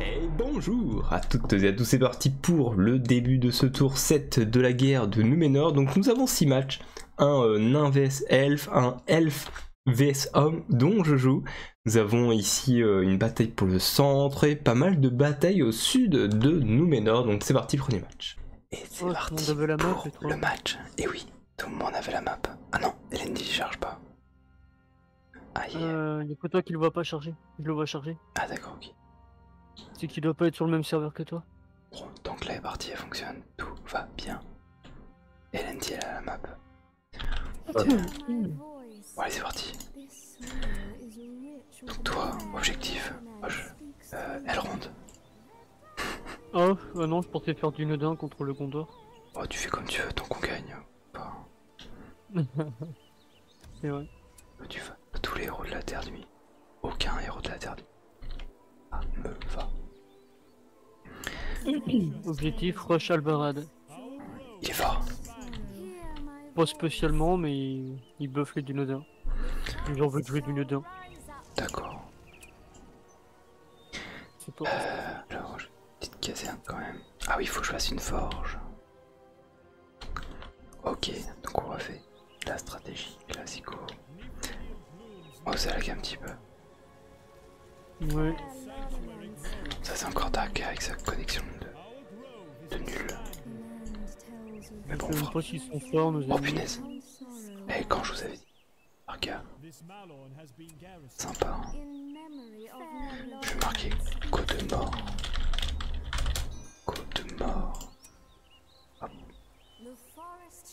Et Bonjour à toutes et à tous, c'est parti pour le début de ce tour 7 de la guerre de Numenor. Donc nous avons 6 matchs, un euh, nain vs elf, un elf vs homme dont je joue. Nous avons ici euh, une bataille pour le centre et pas mal de batailles au sud de Numenor. Donc c'est parti, premier match. Et c'est oh, parti le, pour le match. Et oui, tout le monde avait la map. Ah non, lnd ne charge pas. Aïe. Euh, a que toi qui le vois pas charger, je le vois charger. Ah d'accord, ok. C'est qu'il ne doit pas être sur le même serveur que toi. Bon, donc là, la partie elle fonctionne, tout va bien. elle a la map. Tiens. Ah. Bon, allez, c'est parti. Donc toi, objectif, euh, euh elle ronde. oh, bah non, je pensais faire du nodin contre le condor. Oh, tu fais comme tu veux tant qu'on gagne. C'est vrai. Euh, tu vas tous les héros de la Terre nuit. Aucun héros de la Terre Ah, me va. Objectif, rush albarade. Il va. Pas spécialement, mais il, il buff les J'en veux jouer du Nodin. D'accord. euh, petite caserne quand même. Ah oui, il faut que je fasse une forge. Ok, donc on va faire la stratégie classico. Oh, ça lag un petit peu. Ouais. Ça, c'est encore Dark avec sa connexion de, de nul. Mais bon, Oh punaise. Eh, quand je vous avais dit. Un Sympa. Hein. Je vais marquer côte de mort. Côte de mort. Hop...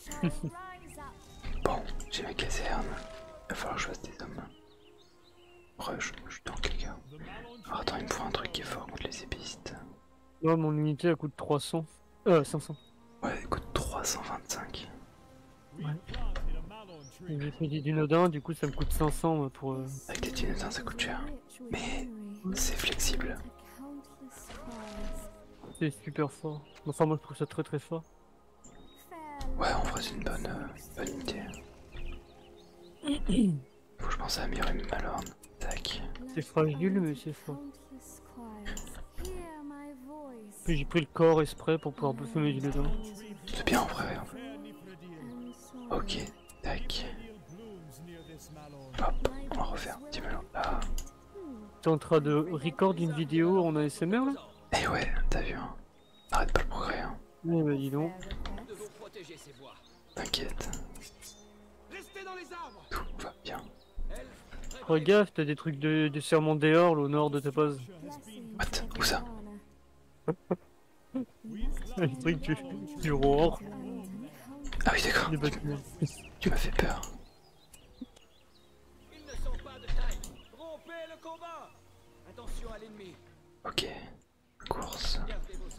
Ah bon. j'ai ma caserne. Il va falloir que je fasse des hommes. Rush, je suis dans quelqu'un. attends, il me faut un truc qui est fort contre les épistes. Ouais, mon unité elle coûte 300. Euh, 500. Ouais, elle coûte 325. Ouais. J'ai fait des dinodins, du coup ça me coûte 500 pour. Euh, Avec des dinodins ça coûte cher. Mais c'est flexible. C'est super fort. Enfin, moi je trouve ça très très fort. Ouais, en vrai, c'est une bonne, euh, unité. Faut que je pense à améliorer mes lorne. Tac. C'est fragile, mais c'est fort. Puis j'ai pris le corps exprès pour pouvoir bouffer mes vidéos. dedans. C'est bien en vrai. Hein. Ok, tac. Hop, on va refaire un petit melon ah. T'es en train de record une vidéo en ASMR là Eh ouais, t'as vu hein. Arrête pas le progrès hein. mais eh bah ben, dis donc. T'inquiète. Tout va bien. Regarde, gaffe, t'as des trucs de, de serment d'Eorl au nord de ta base. What Où ça Les trucs du, du roar. Ah oui, d'accord. Tu m'as fait peur. Ils ne sont pas de taille. Rompez le combat Attention à l'ennemi. Ok. Course.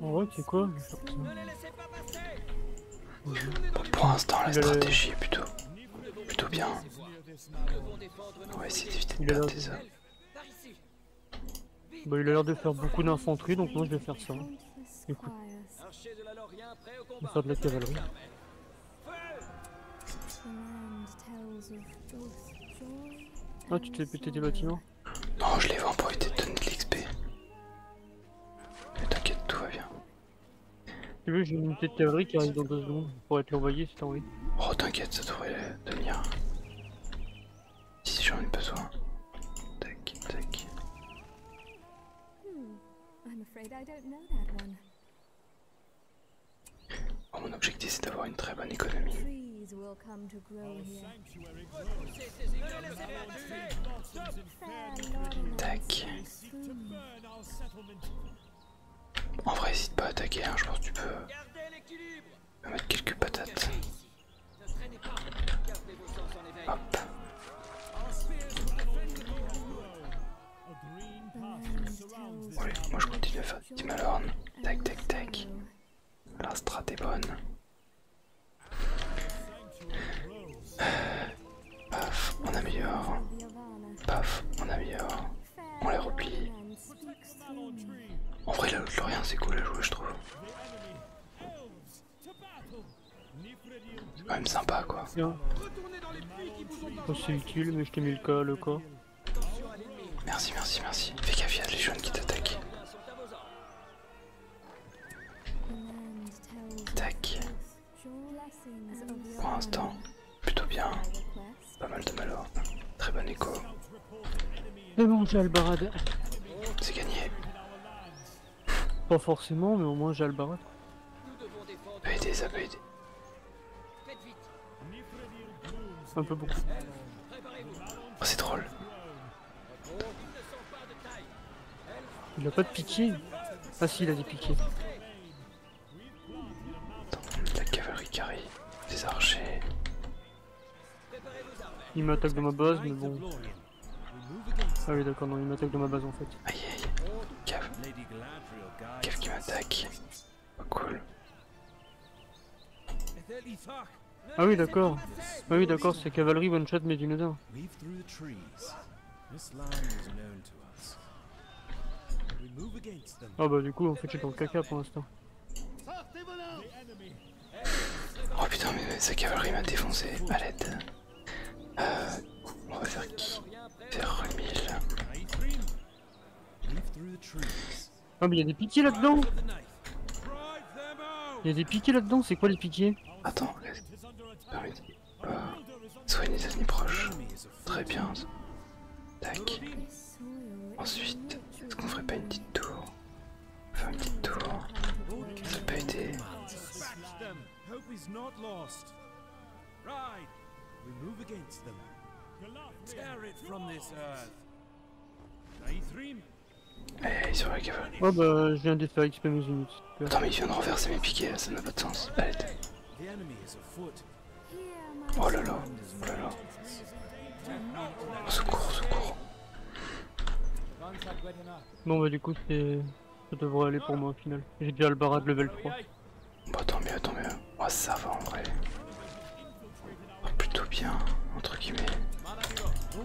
En vrai, c'est quoi Pour l'instant, la stratégie est plutôt, plutôt bien. On va essayer d'éviter de la des ça. Bah, il a l'air de faire beaucoup d'infanterie, donc moi je vais faire ça. Je faire de la cavalerie. Ah, tu t'es pété des bâtiments non, je les vends pour éviter de donner de l'XP. Mais t'inquiète, tout va bien. Tu veux, j'ai une petite théorie qui arrive dans deux secondes pour être l'envoyer si t'as envie. Oh, t'inquiète, ça devrait devenir. Si j'en ai besoin. Tac, tac. Hmm, oh, mon objectif c'est d'avoir une très bonne économie. Tac. En vrai, hésite pas à attaquer, hein, je pense que tu peux euh, mettre quelques patates. Hop. moi je continue à faire Timalorn. Tac, tac, tac. La strat est bonne. Paf, on améliore. Paf, on améliore. On les replie. En vrai, la l'autre rien, c'est cool à jouer, je trouve. C'est quand même sympa, quoi. c'est utile, mais je mis le cas, le Merci, merci, merci. Fais gaffe, à les jeunes qui t'attaquent. Tac. Pour l'instant, plutôt bien. Pas mal de malheur. Très bon écho. Mais bon, C'est gagné. Pas forcément, mais au moins j'ai Albarad. aider, ça peut aider. Un peu bon. Oh, c'est drôle. Il a pas de piqué Ah si, il a des piquets. la cavalerie carrée, des archers. Il m'attaque de ma base, mais bon. Ah oui, d'accord, non, il m'attaque de ma base en fait. Aïe aïe, cav qui m'attaque. Oh, cool. Ah oui, d'accord. Ah oui, d'accord, c'est cavalerie one shot d'une autre. Leave through the trees. This line is known to us. We move against them. Ah bah du coup on fait chier dans le caca pour l'instant. Oh putain mais sa cavalerie m'a défoncé à l'aide. Euh, on va faire qui Faire remille. Oh ah, mais il y a des pitiés là-dedans il y a des piquets là-dedans, c'est quoi les piquets Attends, laisse. Bah, euh, les ennemis proches. Très bien. Tac. Ensuite, est-ce qu'on ferait pas une petite tour Faire une petite tour. Ça pas aider. Oh bah, je viens de faire XP mes unités. Attends, mais il vient de renverser mes piquets, ça n'a pas de sens. Allez, Oh là là, oh là là. Oh, secours, secours. Bon bah du coup c'est... ça devrait aller pour moi au final. J'ai déjà le barat level 3. Bah tant mieux, tant mieux. Oh ça va en vrai. Oh, plutôt bien, entre guillemets.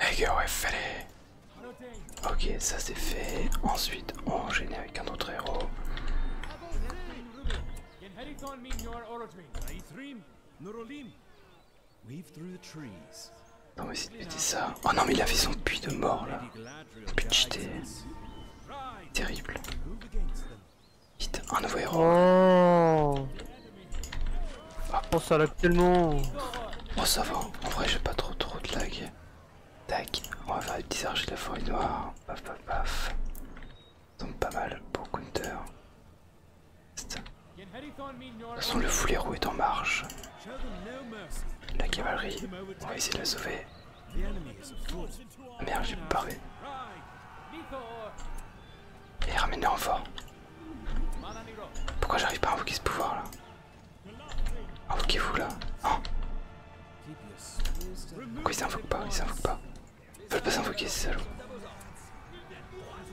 Hey ouais, fallait. Ok, ça c'est fait. Ensuite, on enchaîne avec un autre héros. Non mais c'est de péter ça. Oh non mais il a fait son puits de mort là. Puits de Terrible. Vite, un nouveau héros. Oh, ça lag tellement. ça va. En vrai, j'ai pas trop trop de lag. Tac, on va faire des de la forêt noire. Paf, paf, paf. Tombe pas mal pour counter. De toute façon, le full héros est en marche. La cavalerie, on va essayer de la sauver. Merde, j'ai paré. Et ramène les renforts Pourquoi j'arrive pas à invoquer ce pouvoir là Invoquez-vous là. Oh. Pourquoi il s'invoque pas Il s'invoque pas. Ils veulent pas s'invoquer ces salauds.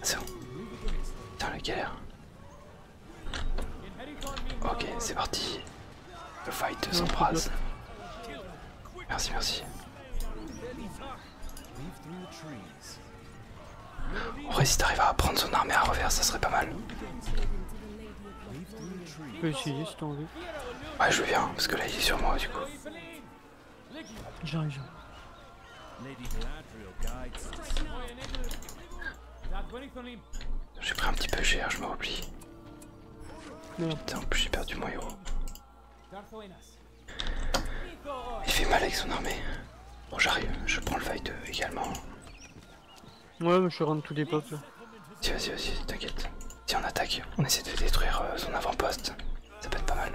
C'est bon. Putain la galère. Ok, c'est parti. Le fight s'embrase. Merci, merci. On vrai, à prendre son armée à revers, ça serait pas mal. peux Ouais, je viens, parce que là il est sur moi du coup. J'arrive, J'ai pris un petit peu cher, je replie Putain, en plus j'ai perdu mon héros. Il fait mal avec son armée. Bon, j'arrive, je prends le fight également. Ouais, mais je suis tous les pops. Vas-y, vas-y, vas-y, t'inquiète. Si on attaque, on essaie de détruire euh, son avant-poste. Ça peut être pas mal.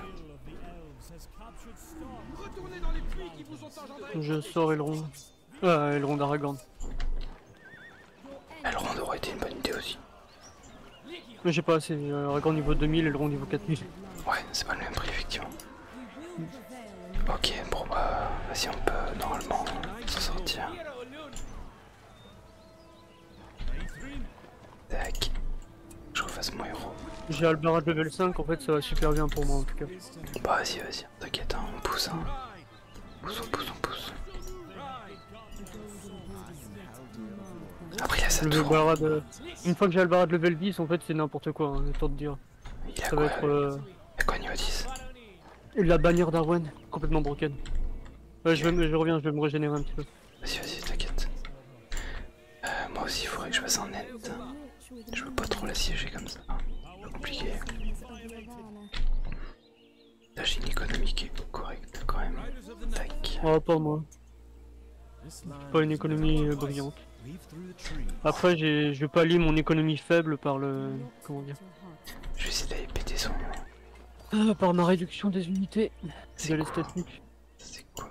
Je sors Elrond. Euh, Elrond d'Aragorn. Elrond aurait été une bonne idée aussi. Mais j'ai pas assez. le euh, Ragon niveau 2000 et le rond niveau 4000. Ouais, c'est pas le même prix, effectivement. Ok, bon bah, vas-y, on peut normalement s'en sortir. Tac. Je refasse mon héros. J'ai Albarade level 5, en fait, ça va super bien pour moi en tout cas. Bah, vas-y, vas-y, t'inquiète, hein, on pousse. Hein. On pousse, on pousse, on pousse. Après, il y a cette le une fois que j'ai le de level 10, en fait, c'est n'importe quoi, hein, temps de dire. Ça va être. Euh, a quoi La bannière d'Arwen, complètement broken. je, reviens, je vais me régénérer un petit peu. Vas-y, vas-y, t'inquiète. Euh, moi aussi, il faudrait que je fasse un net. Je veux pas trop la siéger comme ça. C'est compliqué. La une économique correcte quand même. Tac. Oh, pas moi. Pas une économie euh, brillante. Après, je vais pas mon économie faible par le. Comment dire Je vais essayer d'aller péter son. Ah, par ma réduction des unités la C'est quoi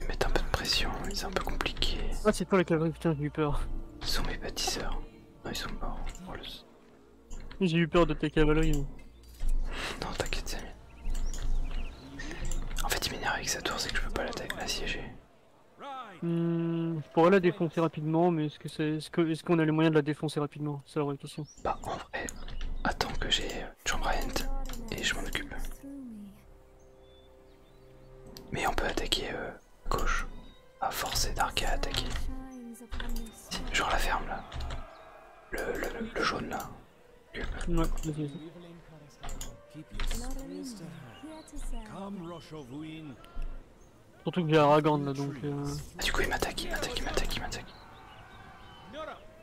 ils mettent un peu de pression, c'est un peu compliqué. Ah, c'est pas la cavalerie, putain, j'ai eu peur. Ils sont mes bâtisseurs. Non, ah, ils sont morts. J'ai eu peur de ta cavalerie. Non, t'inquiète, En fait, il m'énerve avec sa tour, c'est que je peux pas l'assiéger. Mmh, je pourrais la défoncer rapidement, mais est-ce qu'on c'est... -ce que, a les moyens de la défoncer rapidement bah, en vrai, attends que j'ai John euh, Bryant et je m'en occupe. Mais on peut attaquer euh, gauche. À forcer Dark à attaquer. Genre la ferme là. Le, le, le jaune là. Ouais, Surtout que j'ai Aragorn là donc. Euh, ah, du coup, il m'attaque, il m'attaque, il m'attaque, il m'attaque.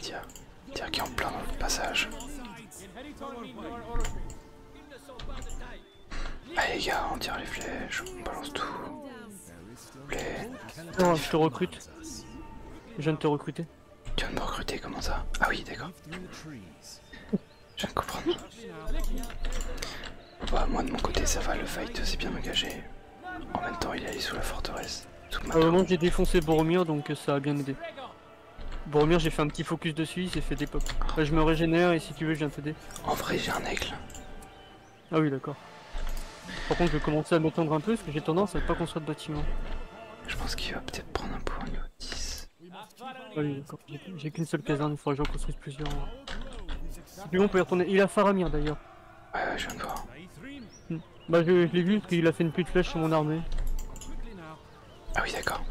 Tiens. Tiens, qui est en plein dans le passage. Allez les gars, on tire les flèches, on balance tout. Non, je te recrute. Je viens de te recruter. Tu viens de me recruter, comment ça Ah oui, d'accord. Je viens de comprendre. moi de mon côté, ça va, le fight c'est bien engagé. En même temps, il est allé sous la forteresse. Tout moment, j'ai défoncé Boromir, donc euh, ça a bien aidé. Bon Mire, j'ai fait un petit focus dessus, j'ai fait des pop. je me régénère et si tu veux, je viens t'aider. En vrai, j'ai un aigle. Ah oui, d'accord. Par contre, je vais commencer à m'étendre un peu parce que j'ai tendance à ne pas construire de bâtiment. Je pense qu'il va peut-être prendre un point niveau 10. Ah oui, d'accord. J'ai qu'une seule caserne, il faudrait que j'en construise plusieurs. plus on peut y retourner. Il a Faramir d'ailleurs. Ouais, ouais, je viens de voir. Bah je, l'ai vu parce qu'il a fait une de flèche sur mon armée. Ah oui d'accord.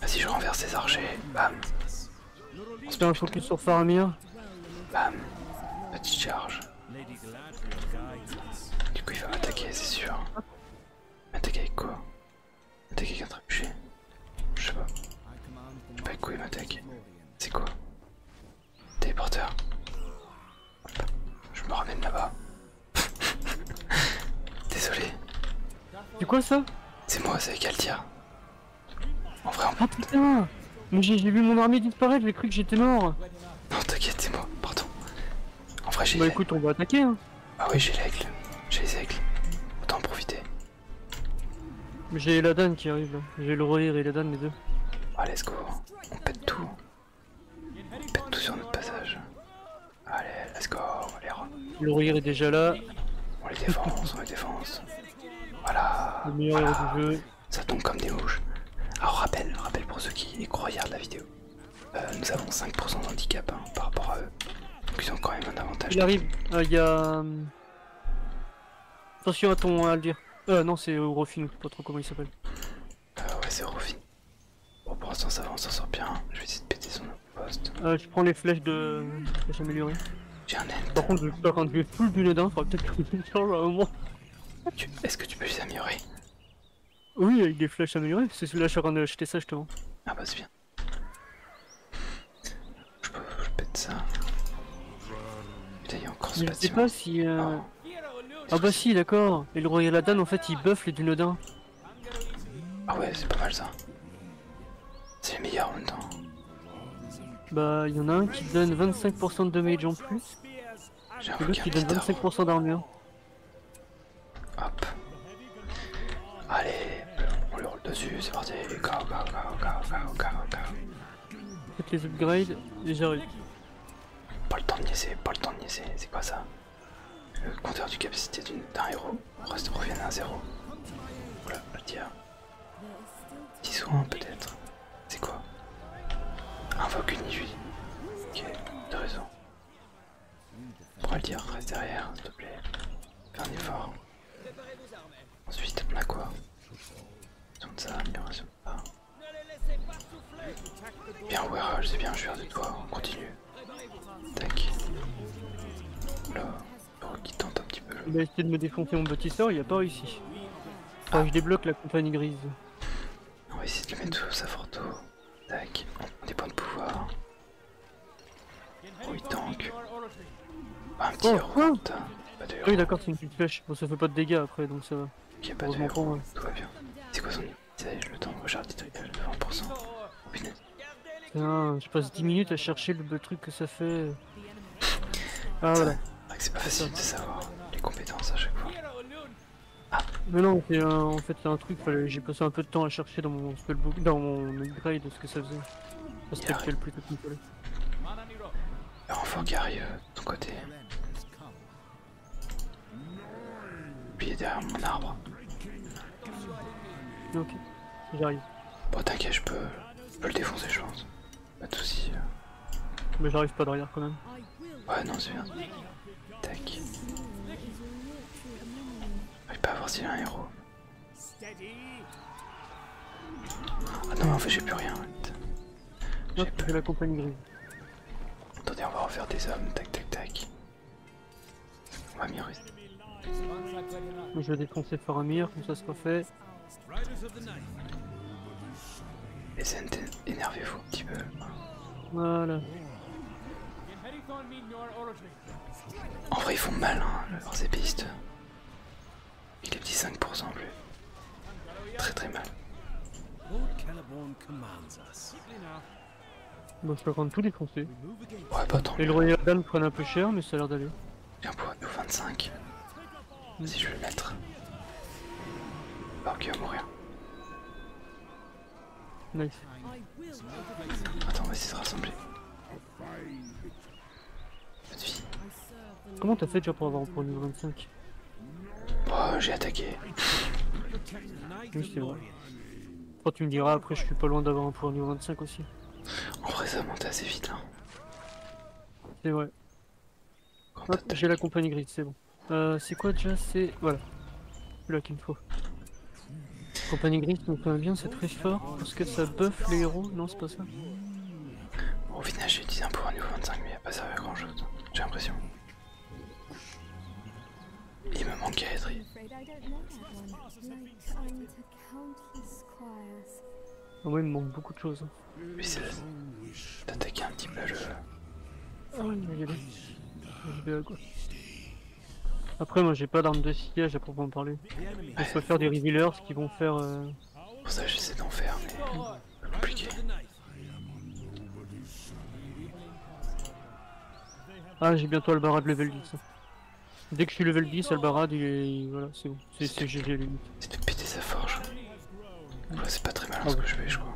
Vas-y je renverse ses archers. Bam. On se fait un focus sur Faramir. Bam. Petite charge. Du coup il va m'attaquer c'est sûr. M'attaquer avec quoi M'attaquer avec un trébuchet Je sais pas. Bah quoi il m'attaque C'est quoi Téléporteur. Je me ramène là-bas. Désolé. C'est quoi ça C'est moi, c'est Altia. En vrai, on... fait ah, mais J'ai vu mon armée disparaître, j'ai cru que j'étais mort. Non, t'inquiète, c'est moi, pardon. En vrai, j'ai... Bah écoute, on va attaquer, hein. Ah oui, j'ai l'aigle. J'ai les aigles. Autant en profiter. J'ai la danne qui arrive là. J'ai le et la danne les deux. Ah, let's go. On pète tout. Ils pètent tout sur notre passage. Allez, let's go, les robes. Le est déjà là. On les défense, on les défense, Voilà. Ça tombe comme des mouches. Alors rappel, rappel pour ceux qui regardent la vidéo. Euh, nous avons 5% d'handicap hein, par rapport à eux. Donc ils ont quand même un avantage. Il arrive, euh, il y a... Euh, attention à ton Aldir, Euh non c'est sais pas trop comment il s'appelle. Euh, ouais, c'est vie. Bon, pour l'instant, ça va, on s'en sort bien. Je vais essayer de péter son poste. Euh, je prends les flèches de. flèches améliorées. J'ai un Par contre, je... quand je vais full du dedans, faudra peut-être que je change à un ah, Est-ce que tu peux les améliorer Oui, avec des flèches améliorées. C'est celui-là, je suis en train d'acheter ça justement. Ah, bah, c'est bien. Je peux. Je pète ça. Putain, il y a encore ce bâtiment. Je sais pas si. Euh, ah. Ah bah si, d'accord. Et le royal et en fait, il buff les dunodins. Ah ouais, c'est pas mal ça. C'est les meilleurs en même temps. Bah, il y en a un qui donne 25% de damage en plus. J'ai qui donne 25% d'armure. Hop. Allez, on lui roule dessus, c'est parti. Faites les upgrades et j'arrive. Pas le temps de niaiser, pas le temps de niaiser, c'est quoi ça Le compteur du capacité d'un héros, on reste revient à zéro. Voilà, le dire. 10 soins peut-être. C'est quoi Invoque une Ok, t'as raison. va le dire, reste derrière, s'il te plaît. Fais un effort. Ensuite, on a quoi Tourne ça, amélioration. pas. Ah. Bien, je c'est bien, je viens de toi, on continue. Tac. Là, qui tente un petit peu. Il a essayé de me défoncer mon petit sort, il a pas réussi. Ah. je débloque la compagnie grise. On va essayer de le mettre sous sa photo. Tac, on des points de pouvoir. Oh, il tank. un petit oh, round. Oh. héros, Oui, d'accord, c'est une petite flèche. Bon, ça fait pas de dégâts après, donc ça va. Ok, pas de héros, tout va bien. C'est quoi son le temps de des trucs 20%. Non, je passe 10 minutes à chercher le truc que ça fait. Ah voilà. Ah, c'est pas facile de savoir les compétences à chaque fois. Ah. Mais non, en fait c'est un truc, j'ai passé un peu de temps à chercher dans mon spellbook, dans mon upgrade ce que ça faisait. C'était le plus compliqué Alors enfin Gary, euh, de ton côté. Puis derrière mon arbre. Ok, j'arrive. Bon t'inquiète, je peux, je peux le défoncer je pense. Pas de soucis. Euh. Mais j'arrive pas derrière quand même. Ouais non c'est bien. Tac. J'arrive pas à voir s'il a un héros. Ah non en fait j'ai plus rien. J'ai la compagnie grise. Attendez, on va refaire des hommes, tac tac tac. On va rester. Je vais défoncer Faramir, comme ça sera fait. Les énervez-vous un petit peu. Voilà. En vrai, ils font mal, hein, leurs épistes. Il est petit 5% en plus. Très très mal. Bon, je peux prendre tous les français. Ouais, pas tant. Et le Royal prennent un peu cher, mais ça a l'air d'aller. Un point nous 25. Vas-y, je vais le mettre. Ok, on va mourir. Nice. Attends, on va essayer de rassembler. Comment t'as fait déjà pour avoir un point niveau 25 Oh, j'ai attaqué. Oui, c'est vrai. Quand tu me diras, après, je suis pas loin d'avoir un pouvoir niveau 25 aussi. En vrai, ça monte assez vite, là. Hein. C'est vrai. Ah, j'ai la compagnie grid c'est bon. Euh, c'est quoi déjà C'est. Voilà. Là qu'il me faut. Compagnie grise, donc bien, c'est très fort parce que ça buff les héros. Non, c'est pas ça. Bon, au final, j'ai utilisé un pouvoir niveau 25, mais il a pas servi à grand chose, j'ai l'impression. Il me manque Aedri. Moi il me manque beaucoup de choses. Mais c'est d'attaquer un petit peu le. Après, moi j'ai pas d'arme de sillage à proprement parler. Je ouais. faire des revealers qui vont faire. Euh, Pour ça, j'essaie d'en faire, mais. compliqué. Ah, j'ai bientôt Barad level 10. Dès que je suis level 10, le il est. Voilà, c'est où C'est GG C'est de péter sa forge. c'est pas très malin ah ce que je fais, je crois.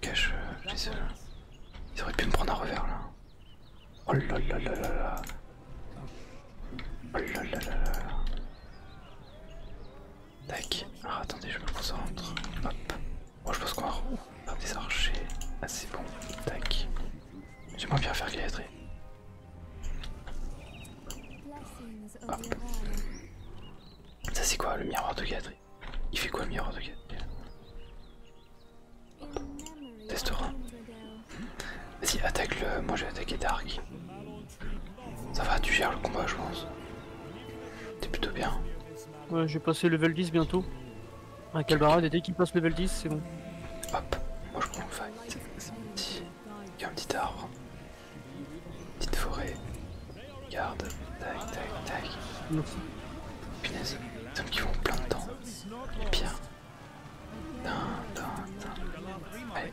Cache, euh, euh, auraient pu me prendre un revers là. Oh là. Tac. alors ah, attendez, je me concentre. Hop. Moi oh, je pense qu'on va des archers. assez ah, bon. Tac. J'aimerais bien faire galétrer. Hop. Ah. Ça, c'est quoi le miroir de Gadri Il fait quoi le miroir de Gadri Testera. Vas-y, attaque-le. Moi, je vais attaquer Dark. Ça va, tu gères le combat, je pense. T'es plutôt bien. Ouais, j'ai passé level 10 bientôt. un Calbarad, et dès qu'il passe level 10, c'est bon. Hop, moi je prends le fight. Petit... Il y a un petit arbre. petite forêt. Garde. Tac, tac, tac. Non. Punaise, qui vont plein de temps. Et bien.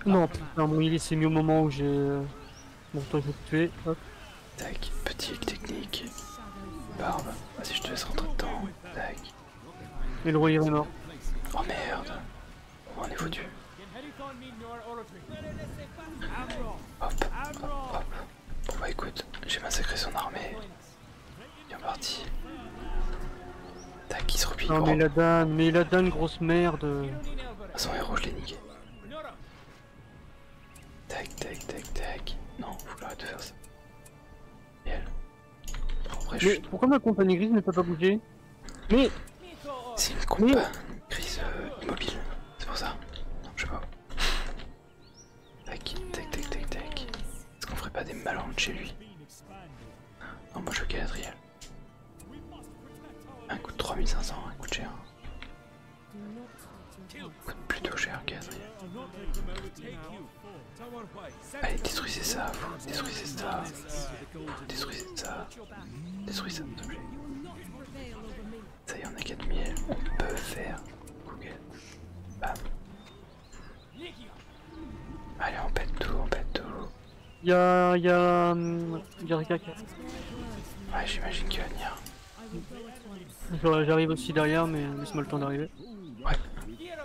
non, putain, il s'est mis au moment où j'ai. Euh, Bon, toi, je vais te tuer. Hop. Tac, petit technique. Barbe, vas-y, je te laisse rentrer dedans. Tac. Et le roi est mort. Oh merde. On est foutu. Hop, hop, hop. Bon bah écoute, j'ai massacré son armée. Bien parti. Tac, il se replie. Oh mais la donné mais la donne, grosse merde. Son héros, je l'ai niqué. Tac, tac, tac, tac. Non, faut arrêter de faire ça. Riel. pourquoi ma compagnie grise ne peut pas bouger Mais C'est une compagnie grise euh, immobile, c'est pour ça. Non, je sais pas. Tac, tac, tac, tac, tac. Est-ce qu'on ferait pas des malandres chez lui Non, moi je veux Riel. Un coût de 3500, un coût de Plutôt cher, un Allez, détruisez ça, vous, détruisez ça, détruisez ça, détruisez ça, Ça y est, on a 4000, on peut faire Google. Bam. Allez, on pète tout, on pète tout. Y'a. Y'a. Y'a gars Ouais, j'imagine qu'il va venir. J'arrive aussi derrière, mais laisse-moi le temps d'arriver. Ouais.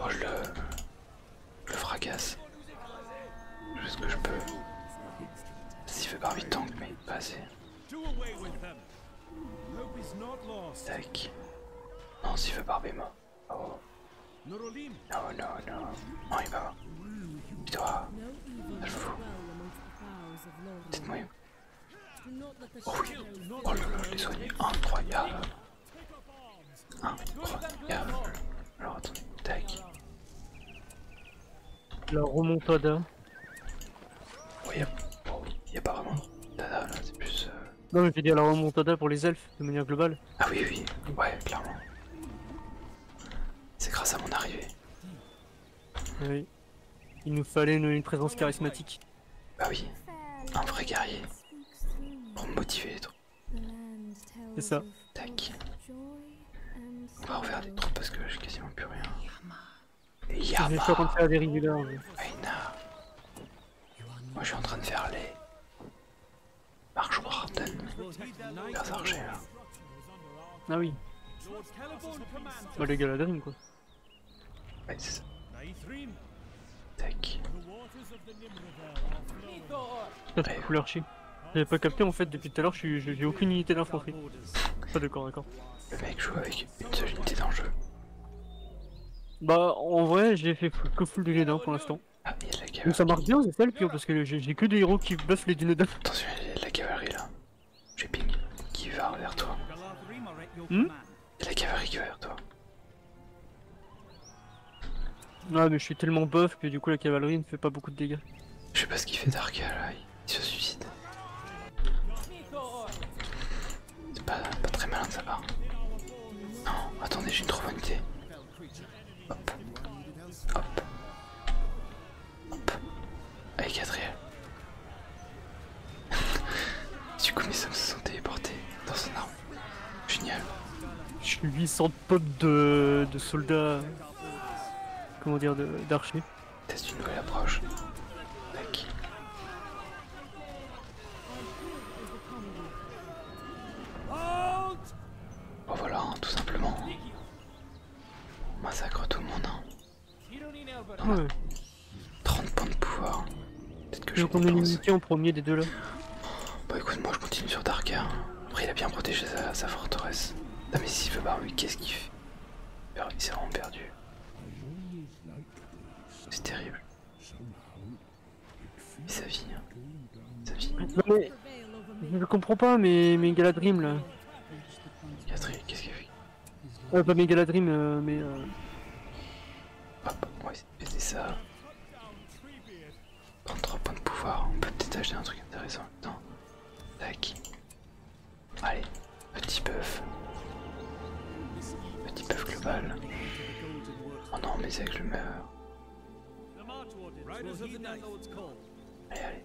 Oh, je le... le fracasse. Je fais ce que je peux. S'il fait Barbie tank mais pas assez. Tac. Non, s'il fait par moi Oh. Non, non, non. Non, il va. Toi. Je fous. Dites-moi. Oh oui, oh là là, je l'ai soigné, incroyable Incroyable Alors attendez, tac. La remontada. Oui, il n'y oh y a pas vraiment là, c'est plus... Euh, non mais je veux dire la remontada pour les elfes, de manière globale. Ah oui, oui, ouais, clairement. C'est grâce à mon arrivée. Oui. Il nous fallait une, présence charismatique. Bah oui, un vrai guerrier. Pour me motiver les troupes. C'est ça. Tac. On va refaire des troupes parce que j'ai quasiment plus rien. Yama. Je suis en train de des Moi je suis en train de faire les. Marche Warden. Les Ah oui. Bah les gars Galadrim quoi. Ouais, c'est ça. Tac. J'ai pas capté en fait depuis tout à l'heure, j'ai aucune unité d'infanterie. Pas de corps d'accord. Le mec joue avec une seule unité d'enjeu Bah en vrai j'ai fait que full de guédin pour l'instant. Ah mais y'a de la cavalerie. ça marche bien c'est ça le pire parce que j'ai que des héros qui buffent les dinodins. Attention y'a de la cavalerie là. J'ai Ping qui va vers toi. Hmm la cavalerie qui va toi. Ah mais je suis tellement bof que du coup la cavalerie ne fait pas beaucoup de dégâts. Je sais pas ce qu'il fait Dark il se suicide. C'est pas, très malin de sa part. Ah. Non, attendez, j'ai une trop bonne idée. Hop. Hop. Avec Adriel. du coup, mes hommes se sont téléportés dans son arme. Génial. suis 800 potes de, soldats. Comment dire, d'archers. Teste une nouvelle approche. Tac. Oh voilà, hein, tout simplement. massacre tout le monde. Hein. 30 points de pouvoir. Peut-être que je vais d'unité en premier des deux là Bah écoute, moi je continue sur Darker. Après, il a bien protégé sa, forteresse. Ah, mais si veut oui. qu'est-ce qu'il fait Il s'est vraiment perdu. C'est terrible. Mais sa vie, hein. Sa vie. Je comprends pas, mais, mais Galadrim là. Catherine, qu'est-ce qu'il fait euh, pas Megaladrim mais. Hop, on va essayer de ça. 33 points de pouvoir, on peut peut-être acheter un truc intéressant. avec Tac. Allez, petit buff. Petit buff global. Oh non, mais mes aigles l'humeur Allez, allez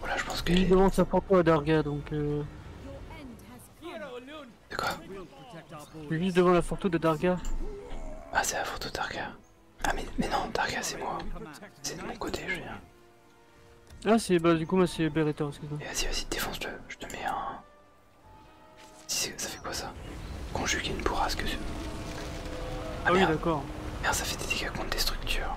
Voilà, je pense que. Il demande sa à Darga, donc. Euh... De quoi Juste devant la photo de Darga. Ah, c'est la photo de Darga. Ah, mais, non, Darga, c'est moi. C'est de mon côté, je viens. Ah, c'est. Bah, du coup, moi, c'est Beretta, excuse-moi. Vas-y, vas-y, défonce-le. Je te mets un. Si, ça fait quoi ça Conjuguer une bourrasque Ah, ah oui, d'accord. Merde, ça fait des dégâts contre des structures.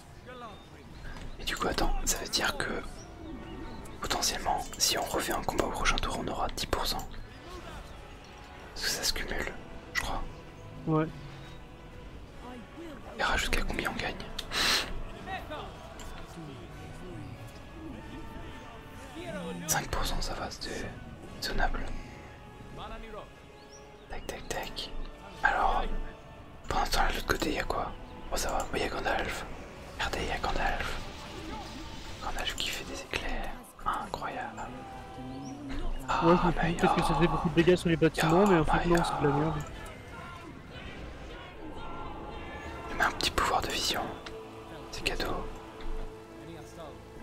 Et du coup, attends, ça veut dire que potentiellement, si on refait un combat au prochain tour, on aura 10%. Parce que ça se cumule, je crois. Ouais. On verra jusqu'à combien on gagne. « 5% ça va, c'était zonable. Tac, tac, tac. Alors, pendant ce temps, là, de l'autre côté, il y a quoi Oh, ça va, il y a Gandalf. Regardez, il y a Gandalf. Gandalf qui fait des éclairs. Incroyable. Ah, ouais, bah, peut-être que ça fait beaucoup de dégâts sur les bâtiments, ah, mais en fait, bah, non, c'est de la merde. Il met un petit pouvoir de vision. C'est cadeau.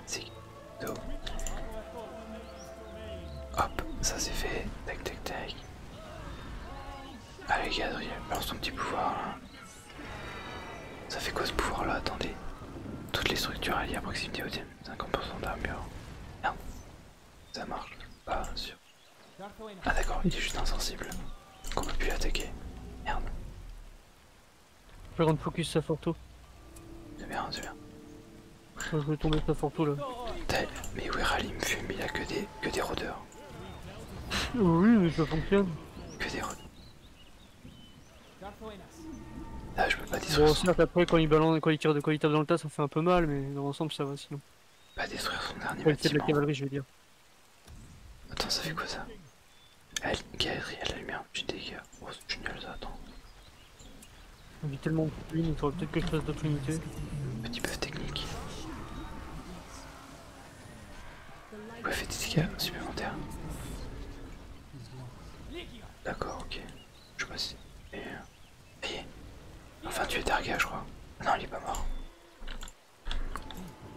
C'est cadeau. Hop, ça c'est fait. Tac, tac, tac. Allez Gadriel, balance ton petit pouvoir là. Ça fait quoi ce pouvoir là Attendez. Toutes les structures alliées à proximité au 50% d'armure. Merde. Ça marche. Pas sûr. Ah d'accord, il est juste insensible. Qu'on peut plus attaquer. Merde. Faut rendre focus ça photo. C'est bien, c'est bien. Je vais tomber ça tout là. Mais oui, Rally me fume, il a que des, que des rôdeurs. Oui, mais ça fonctionne. Que des rôdeurs. Ah, je peux pas détruire. son dernier. après, quand il, balance, quand il tire de quand il tape dans le tas, ça fait un peu mal, mais dans l'ensemble, ça va sinon. Pas détruire son dernier ouais, bâtiment. de la cavalerie, je veux dire. Attends, ça fait quoi ça Elle une y a la lumière, petit dégât. Oh, ce tunnel attends vit tellement monde il trouve peut-être quelque chose d'autre limité. Petit peu technique. Ouais, fait des dégâts supplémentaires. D'accord, ok. Je passe. Et. Enfin, tu es Targa, je crois. Non, il est pas mort.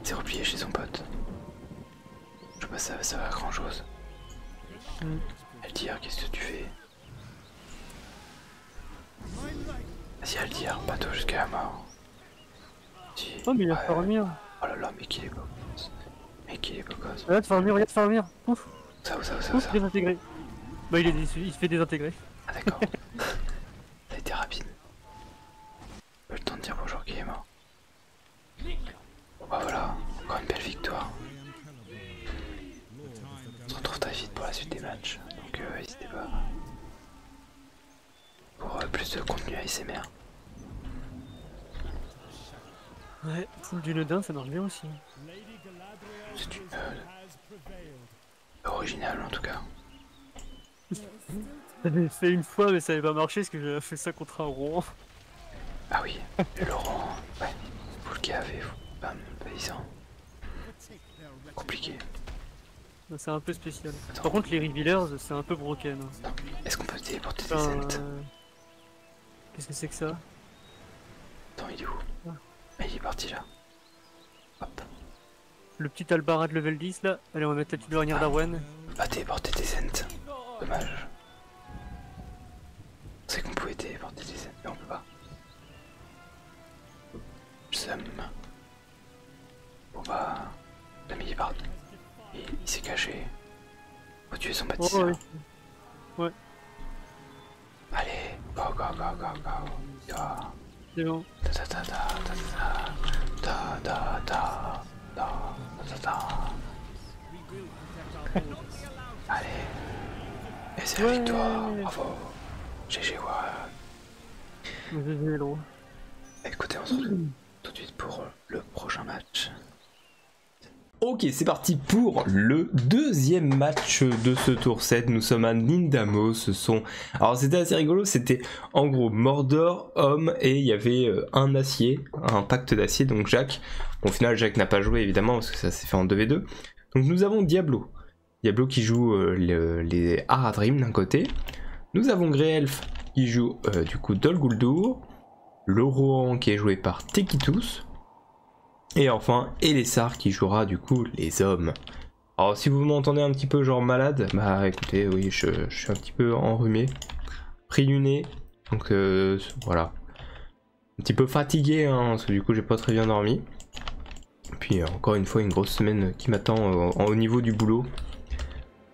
Il s'est replié chez son pote. Je pense pas, ça, ça va à grand chose. Mm. Elle dit, ah, qu'est-ce que tu fais Vas-y à le dire, hein, bateau jusqu'à la mort. oh mais il va fait venir. Oh là là mais qu'il est beau Mais qu'il est beau gosse Regarde farmir, regarde venir. Pouf Ça ou ça ou ça ou ça. Bah il, est, se fait désintégrer Ah d'accord Ça a été rapide Pas le temps de dire bonjour qu'il est mort bah voilà, encore une belle victoire on se retrouve très vite pour la suite des matchs, donc euh, n'hésitez pas pour euh, plus de contenu ASMR. Ouais, foule du Nodin, ça marche bien aussi. C'est une euh, original en tout cas. J'avais fait une fois, mais ça n'avait pas marché parce que j'avais fait ça contre un Rouen. Ah oui, le Laurent, ouais, vous le cavez, vous, bam, paysan compliqué. C'est un peu spécial. Par contre, les revealers, c'est un peu broken. Hein. Est-ce qu'on peut téléporter des enfin, euh, Qu'est-ce que c'est que ça Attends, il est où ah. Ah, Il est parti là. Le petit Albarat de level 10 là. Allez, on va mettre la petite dernière On d'Arwen. Ah, téléporter des Celtes. Dommage. On C'est qu'on pouvait téléporter des Celtes, mais on peut pas. Sam. on bah... L'ami est il s'est caché. Faut tuer son bâtisseur. ouais. Allez, go go go go go. Ta Allez. Et c'est la victoire. GG Écoutez, tout de suite pour euh, le prochain match. Ok, c'est parti pour le deuxième match de ce tour 7. Nous sommes à Nindamo. Ce sont. Alors, c'était assez rigolo. C'était en gros Mordor, Homme et il y avait euh, un acier, un pacte d'acier, donc Jacques. au final, Jacques n'a pas joué évidemment parce que ça s'est fait en 2v2. Donc, nous avons Diablo, Diablo qui joue euh, les Haradrim d'un côté. Nous avons Elf qui joue euh, du coup Dol Guldur. Le Rohan qui est joué par Tekitus. Et enfin Elessar qui jouera du coup les hommes. Alors si vous m'entendez un petit peu genre malade, bah écoutez, oui, je, suis un petit peu enrhumé. Pris du Donc euh, voilà. Un petit peu fatigué, hein, parce que du coup j'ai pas très bien dormi. Puis euh, encore une fois une grosse semaine qui m'attend euh, au niveau du boulot.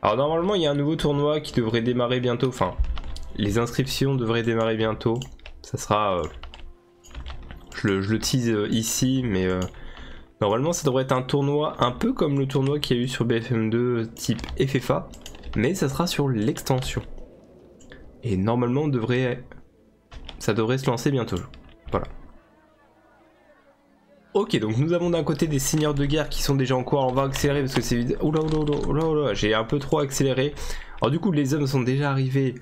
Alors normalement il y a un nouveau tournoi qui devrait démarrer bientôt, enfin les inscriptions devraient démarrer bientôt. Ça sera... Euh, je, le, je, tease ici mais normalement ça devrait être un tournoi un peu comme le tournoi qu'il y a eu sur BFM2 type FFA mais ça sera sur l'extension. Et normalement on devrait ça devrait se lancer bientôt. Voilà. Ok, donc nous avons d'un côté des seigneurs de guerre qui sont déjà en cours. On va accélérer parce que c'est... Oula, j'ai un peu trop accéléré. Alors du coup, les hommes sont déjà arrivés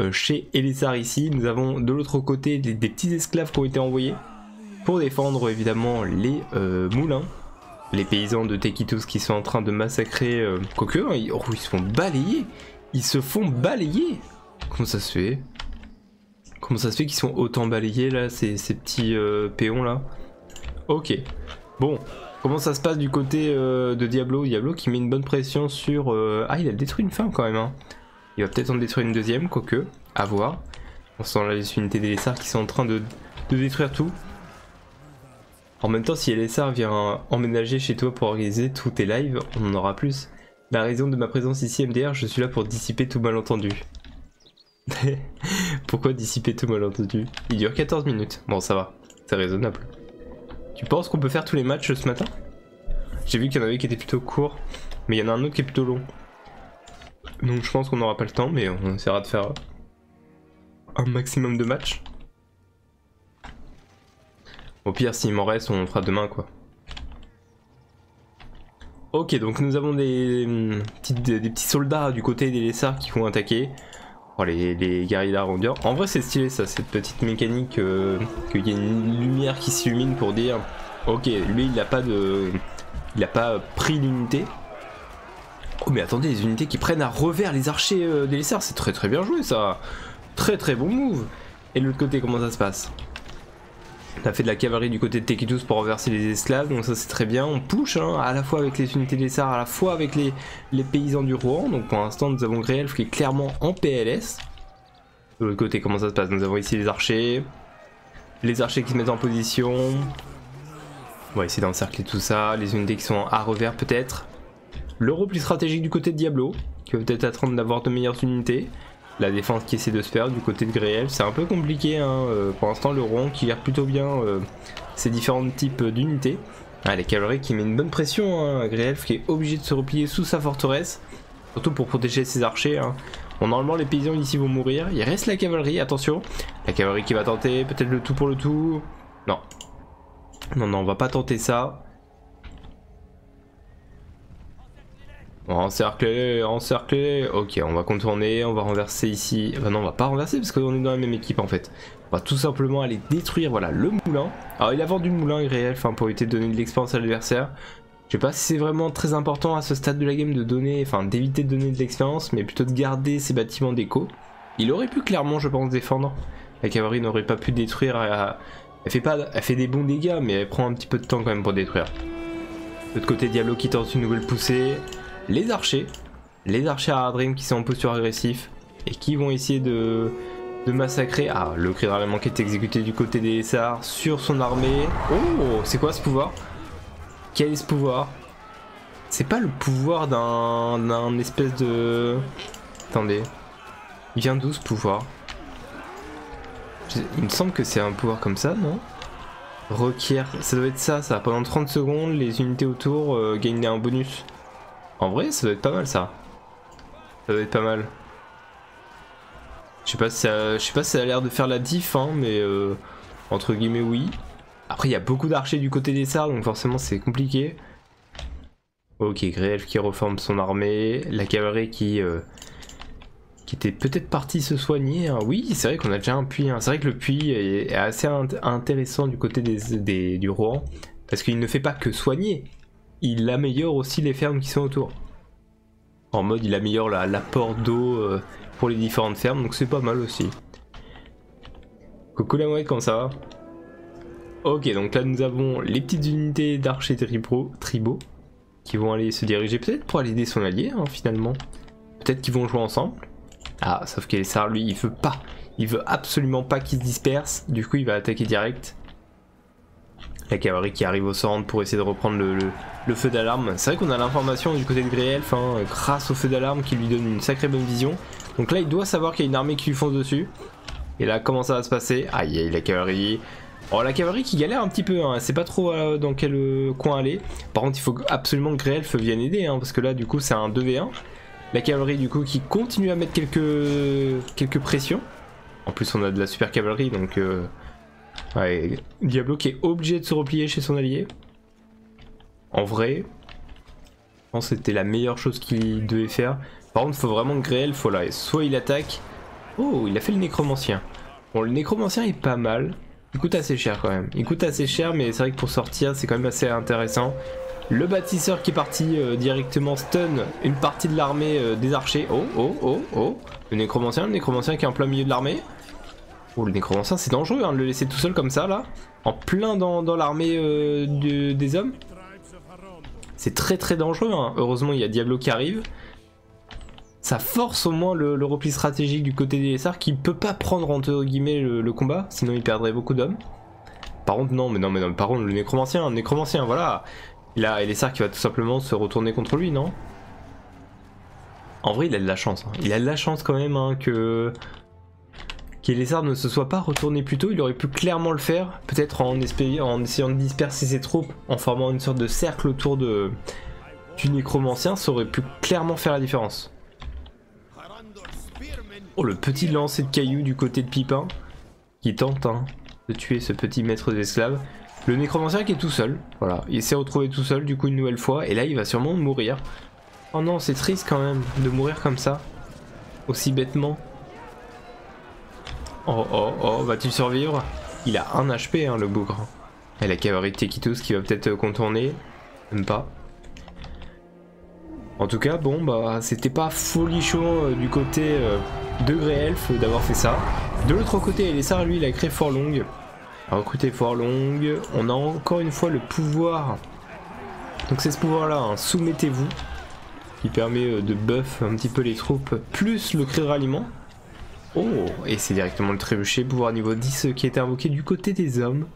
euh, chez Elisar ici. Nous avons de l'autre côté des, petits esclaves qui ont été envoyés pour défendre évidemment les euh, moulins. Les paysans de Tekitos qui sont en train de massacrer... Koku, euh, hein, oh, ils se font balayer Ils se font balayer Comment ça se fait Comment ça se fait qu'ils sont autant balayés là, ces, petits euh, péons là Ok. Bon, comment ça se passe du côté euh, de Diablo Diablo qui met une bonne pression sur... Euh, ah, il a détruit une fin quand même. Hein. Il va peut-être en détruire une deuxième, quoique. À voir. On sent là les unités des qui sont en train de, détruire tout. En même temps, si LSR vient emménager chez toi pour organiser tous tes lives, on en aura plus. La bah, raison de ma présence ici, MDR, je suis là pour dissiper tout malentendu. Pourquoi dissiper tout malentendu Il dure 14 minutes. Bon, ça va. C'est raisonnable. Tu penses qu'on peut faire tous les matchs ce matin J'ai vu qu'il y en avait qui étaient plutôt courts, mais il y en a un autre qui est plutôt long. Donc je pense qu'on n'aura pas le temps, mais on essaiera de faire un maximum de matchs. Au pire, s'il m'en reste, on fera demain, quoi. Ok, donc nous avons des, hum, petits soldats du côté des Lessards qui vont attaquer. Oh, les, les guerriers d'Arondir. En vrai, c'est stylé, ça, cette petite mécanique euh, qu'il y a une lumière qui s'illumine pour dire Ok, lui, il n'a pas de... Il n'a pas pris l'unité. Oh, mais attendez, les unités qui prennent à revers les archers euh, des Lessards, c'est très très bien joué, ça Très très bon move et de l'autre côté, comment ça se passe on a fait de la cavalerie du côté de Tekitus pour renverser les esclaves, donc ça c'est très bien. On push hein, à la fois avec les unités des Sars, à la fois avec les, les paysans du Rouen. Donc pour l'instant, nous avons Gréelf qui est clairement en PLS. De l'autre côté, comment ça se passe Nous avons ici les archers, les archers qui se mettent en position. On va essayer d'encercler tout ça, les unités qui sont à revers peut-être. Le plus stratégique du côté de Diablo, qui va peut-être attendre d'avoir de meilleures unités. La défense qui essaie de se faire du côté de Gréel, c'est un peu compliqué. Hein. Euh, pour l'instant, le rond qui gère plutôt bien euh, ses différents types euh, d'unités. Ah, la cavalerie qui met une bonne pression, à hein. Gréelf qui est obligé de se replier sous sa forteresse, surtout pour protéger ses archers. Hein. normalement les paysans ici vont mourir, il reste la cavalerie, attention, la cavalerie qui va tenter peut-être le tout pour le tout, non, non, non, on va pas tenter ça, on Encercler, encercler Ok, on va contourner, on va renverser ici. non, on va pas renverser parce qu'on est dans la même équipe en fait. On va tout simplement aller détruire voilà, le moulin. Alors il a vendu le moulin réel enfin, pour éviter de donner de l'expérience à l'adversaire. Je sais pas si c'est vraiment très important à ce stade de la game de donner, enfin d'éviter de donner de l'expérience, mais plutôt de garder ses bâtiments d'écho. Il aurait pu clairement, je pense, défendre. La cavalerie n'aurait pas pu détruire à, euh, elle fait, pas, elle fait des bons dégâts, mais elle prend un petit peu de temps quand même pour détruire. De l'autre côté, Diablo qui tente une nouvelle poussée. Les archers. Les archers à Adrim qui sont en posture agressif. Et qui vont essayer de, massacrer. Ah, le cri de qui est exécuté du côté des Sars sur son armée. Oh, c'est quoi ce pouvoir Quel est ce pouvoir C'est pas le pouvoir d'un espèce de... Attendez. Il vient d'où ce pouvoir Il me semble que c'est un pouvoir comme ça, non Requiert, ça doit être ça, ça. Pendant 30 secondes, les unités autour euh, gagnent un bonus. En vrai, ça doit être pas mal, ça. Ça doit être pas mal. Je sais pas si ça, a l'air de faire la diff, hein, mais euh, entre guillemets oui. Après, il y a beaucoup d'archers du côté des sards, donc forcément c'est compliqué. Ok, grève qui reforme son armée, la cavalerie qui, euh, qui était peut-être partie se soigner. Hein. Oui, c'est vrai qu'on a déjà un puits. Hein. C'est vrai que le puits est, assez intéressant du côté des, du roi parce qu'il ne fait pas que soigner, il améliore aussi les fermes qui sont autour. En mode, il améliore l'apport d'eau euh, pour les différentes fermes, donc c'est pas mal aussi. Coucou la mouette, comment ça va Ok, donc là nous avons les petites unités d'archers tribaux qui vont aller se diriger peut-être pour aller aider son allié hein, finalement. Peut-être qu'ils vont jouer ensemble. Ah, sauf qu'Elessar lui, il veut pas. Il veut absolument pas qu'il se disperse Du coup, il va attaquer direct. La cavalerie qui arrive au centre pour essayer de reprendre le, feu d'alarme. C'est vrai qu'on a l'information du côté de Grey Elf hein, grâce au feu d'alarme qui lui donne une sacrée bonne vision. Donc là, il doit savoir qu'il y a une armée qui lui fonce dessus. Et là, comment ça va se passer Aïe, aïe, la cavalerie. Oh, la cavalerie qui galère un petit peu, ne hein. sait pas trop euh, dans quel euh, coin aller. Par contre, il faut absolument que Grelf vienne aider, hein, parce que là, du coup, c'est un 2v1. La cavalerie, du coup, qui continue à mettre quelques, quelques pressions. En plus, on a de la super cavalerie, donc... Euh, Diablo qui est obligé de se replier chez son allié. En vrai, je pense que c'était la meilleure chose qu'il devait faire. Par contre, faut vraiment que le Soit il attaque. Oh, il a fait le nécromancien. Bon, le nécromancien est pas mal. Il coûte assez cher quand même. Il coûte assez cher, mais c'est vrai que pour sortir, c'est quand même assez intéressant. Le bâtisseur qui est parti euh, directement stun une partie de l'armée euh, des archers. Oh, oh, oh, oh. Le nécromancien, le nécromancien qui est en plein milieu de l'armée. Oh, le nécromancien, c'est dangereux hein, de le laisser tout seul comme ça, là. En plein dans, l'armée euh, des hommes. C'est très très dangereux. Hein. Heureusement, il y a Diablo qui arrive. Ça force au moins le, repli stratégique du côté des qui peut pas prendre entre guillemets le, combat, sinon il perdrait beaucoup d'hommes. Par contre, non, mais non, mais non, par contre, le nécromancien, le nécromancien, voilà. il les Elessar qui va tout simplement se retourner contre lui, non En vrai, il a de la chance. Hein. Il a de la chance quand même hein, Que que. Qu'Elessar ne se soit pas retourné plus tôt. Il aurait pu clairement le faire. Peut-être en, en essayant de disperser ses troupes en formant une sorte de cercle autour de, du nécromancien, ça aurait pu clairement faire la différence. Oh, le petit lancer de cailloux du côté de Pipin, qui tente hein, de tuer ce petit maître d'esclaves. Le nécromancien qui est tout seul, voilà, il s'est retrouvé tout seul du coup une nouvelle fois, et là il va sûrement mourir. Oh non, c'est triste quand même de mourir comme ça, aussi bêtement. Oh oh oh, va-t-il survivre Il a un HP hein, le bougre. Et la cavalerie de qui va peut-être euh, contourner. Même pas. En tout cas, bon, bah, c'était pas folichon euh, du côté euh, de Grey-Elf d'avoir fait ça. De l'autre côté, ça, lui, il a créé Fort Long. Recruter Fort Long. On a encore une fois le pouvoir. Donc c'est ce pouvoir-là, hein. soumettez-vous qui permet euh, de buff un petit peu les troupes, plus le cri de ralliement. Oh, et c'est directement le trébuchet, pouvoir niveau 10 euh, qui est invoqué du côté des hommes.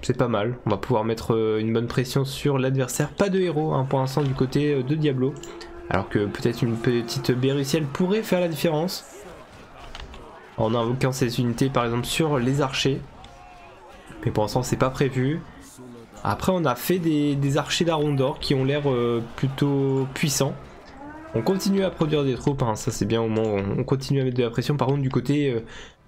C'est pas mal, on va pouvoir mettre euh, une bonne pression sur l'adversaire. Pas de héros hein, pour l'instant du côté de Diablo, alors que peut-être une petite Béruciel pourrait faire la différence. En invoquant ces unités par exemple sur les archers. Mais pour l'instant c'est pas prévu. Après, on a fait des, archers d'Arondor qui ont l'air euh, plutôt puissants. On continue à produire des troupes, hein, ça c'est bien au moins. on continue à mettre de la pression. Par contre, du côté euh,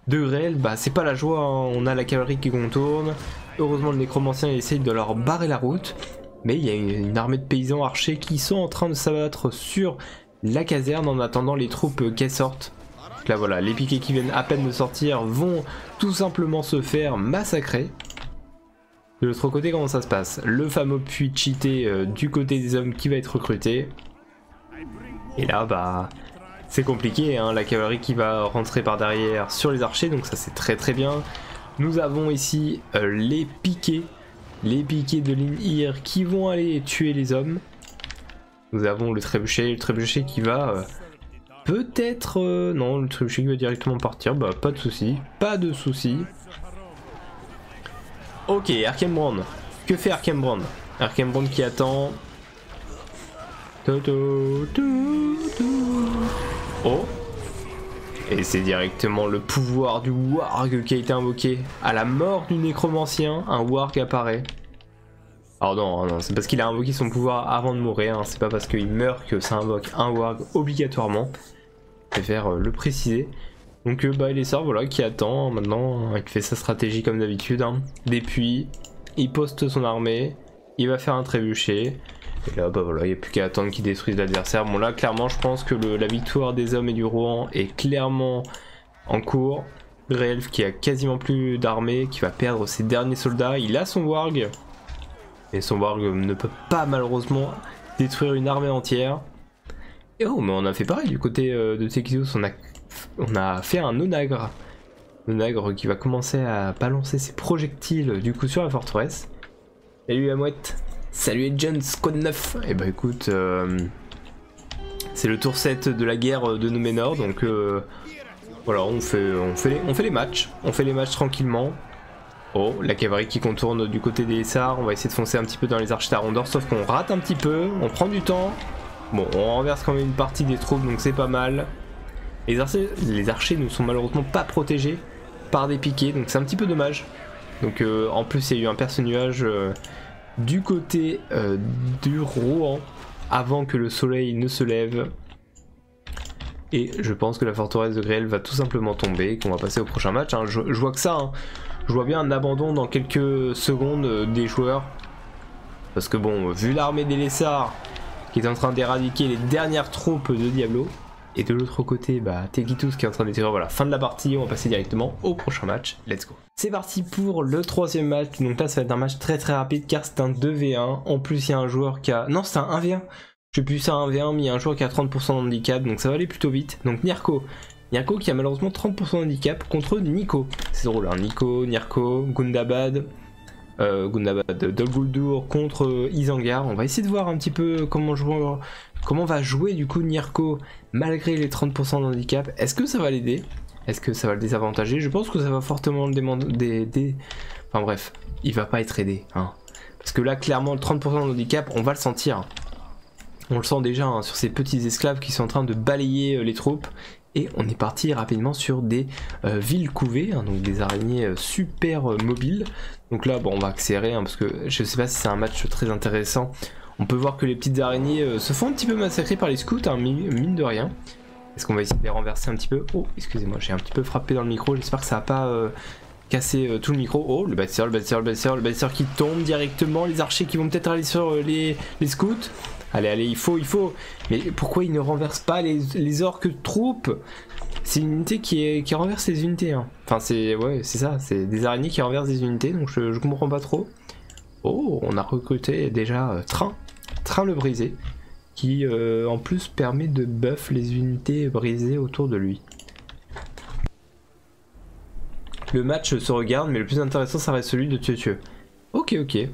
de réel, bah c'est pas la joie, hein. on a la cavalerie qui contourne. Heureusement, le nécromancien essaye de leur barrer la route. Mais il y a une, armée de paysans archers qui sont en train de s'abattre sur la caserne en attendant les troupes euh, qu'elles sortent. là voilà, les piquets qui viennent à peine de sortir vont tout simplement se faire massacrer. De l'autre côté, comment ça se passe Le fameux puits cheaté euh, du côté des hommes qui va être recruté. Et là, bah, c'est compliqué. Hein. la cavalerie qui va rentrer par derrière sur les archers, donc ça c'est très très bien. Nous avons ici euh, les piquets, les piquets de l'Inhir qui vont aller tuer les hommes. Nous avons le trébuchet, le trébuchet qui va euh, peut-être... non, le trébuchet qui va directement partir, bah pas de soucis pas de soucis Ok, Arkhambrand. Que fait Arkhambrand? Arkhambrand qui attend. Oh Et c'est directement le pouvoir du warg qui a été invoqué. À la mort du nécromancien, un warg apparaît. Alors non, c'est parce qu'il a invoqué son pouvoir avant de mourir, hein. c'est pas parce qu'il meurt que ça invoque un warg obligatoirement. Je préfère euh, le préciser. Donc euh, bah il est sort voilà qui attend hein, maintenant, hein, il fait sa stratégie comme d'habitude. et hein. Des il poste son armée, il va faire un trébuchet. Et là bah voilà, il n'y a plus qu'à attendre qu'il détruise l'adversaire. Bon là clairement je pense que la victoire des hommes et du Rouen est clairement en cours. Elf qui a quasiment plus d'armée, qui va perdre ses derniers soldats, il a son warg. Et son warg euh, ne peut pas malheureusement détruire une armée entière. Et oh, mais on a fait pareil du côté euh, de Tekidos, on a, on a fait un onagre. Onagre qui va commencer à balancer ses projectiles du coup sur la forteresse. Salut Amouette salut Salut quoi de 9 Et bah écoute, euh, c'est le tour 7 de la guerre de Numenor, donc voilà, on fait, on, fait on fait les matchs, on fait les matchs tranquillement. Oh, la cavalerie qui contourne du côté des Sars. On va essayer de foncer un petit peu dans les arches d'Arondor, sauf qu'on rate un petit peu, on prend du temps. Bon, on renverse quand même une partie des troupes, donc c'est pas mal. Les archers, les archers ne sont malheureusement pas protégés par des piquets, donc c'est un petit peu dommage. Donc euh, en plus, il y a eu un perce nuage euh, du côté euh, du Rouen avant que le soleil ne se lève. Et je pense que la forteresse de Grêle va tout simplement tomber et qu'on va passer au prochain match. Hein. Je, vois que ça, hein. je vois bien un abandon dans quelques secondes euh, des joueurs. Parce que bon, vu l'armée des Lessards qui est en train d'éradiquer les dernières troupes de Diablo, et de l'autre côté, bah, Tegitus qui est en train tirer, Voilà, fin de la partie, on va passer directement au prochain match. Let's go. C'est parti pour le troisième match. Donc là, ça va être un match très très rapide car c'est un 2v1. En plus, il y a un joueur qui a... Non, c'est un 1v1 je sais plus, ça un v 1 mais il y a un joueur qui a 30% handicap, donc ça va aller plutôt vite. Donc Nierko, Nierko qui a malheureusement 30% de handicap contre Nico. C'est drôle, hein. Nico, Nierko, Gundabad, euh, Gundabad, Dolguldur contre euh, Isangar. On va essayer de voir un petit peu comment, comment va jouer du coup Nierko malgré les 30% de handicap. Est-ce que ça va l'aider Est-ce que ça va le désavantager Je pense que ça va fortement le demander. Enfin bref, il va pas être aidé. Hein. Parce que là, clairement, le 30% de handicap, on va le sentir. On le sent déjà hein, sur ces petits esclaves qui sont en train de balayer euh, les troupes. Et on est parti rapidement sur des euh, villes couvées, hein, donc des araignées euh, super mobiles. Donc là, bon, on va accélérer hein, parce que je sais pas si c'est un match très intéressant. On peut voir que les petites araignées se font un petit peu massacrer par les scouts, mine de rien. Est-ce qu'on va essayer de les renverser un petit peu Oh, excusez-moi, j'ai un petit peu frappé dans le micro. J'espère que ça n'a pas casser euh, tout le micro. Oh, le bâtisseur, le bâtisseur, le bâtisseur, le bâtisseur qui tombe directement. Les archers qui vont peut-être aller sur euh, les, scouts. Allez, allez, il faut, il faut. Mais pourquoi il ne renverse pas les, les orques troupes C'est une unité qui, qui renverse les unités. Hein. Enfin, c'est ouais, c'est ça. C'est des araignées qui renversent des unités. Donc je, comprends pas trop. Oh, on a recruté déjà euh, Train. Train le brisé. Qui en plus permet de buff les unités brisées autour de lui. Le match se regarde, mais le plus intéressant, ça reste celui de tuer Ok, ok.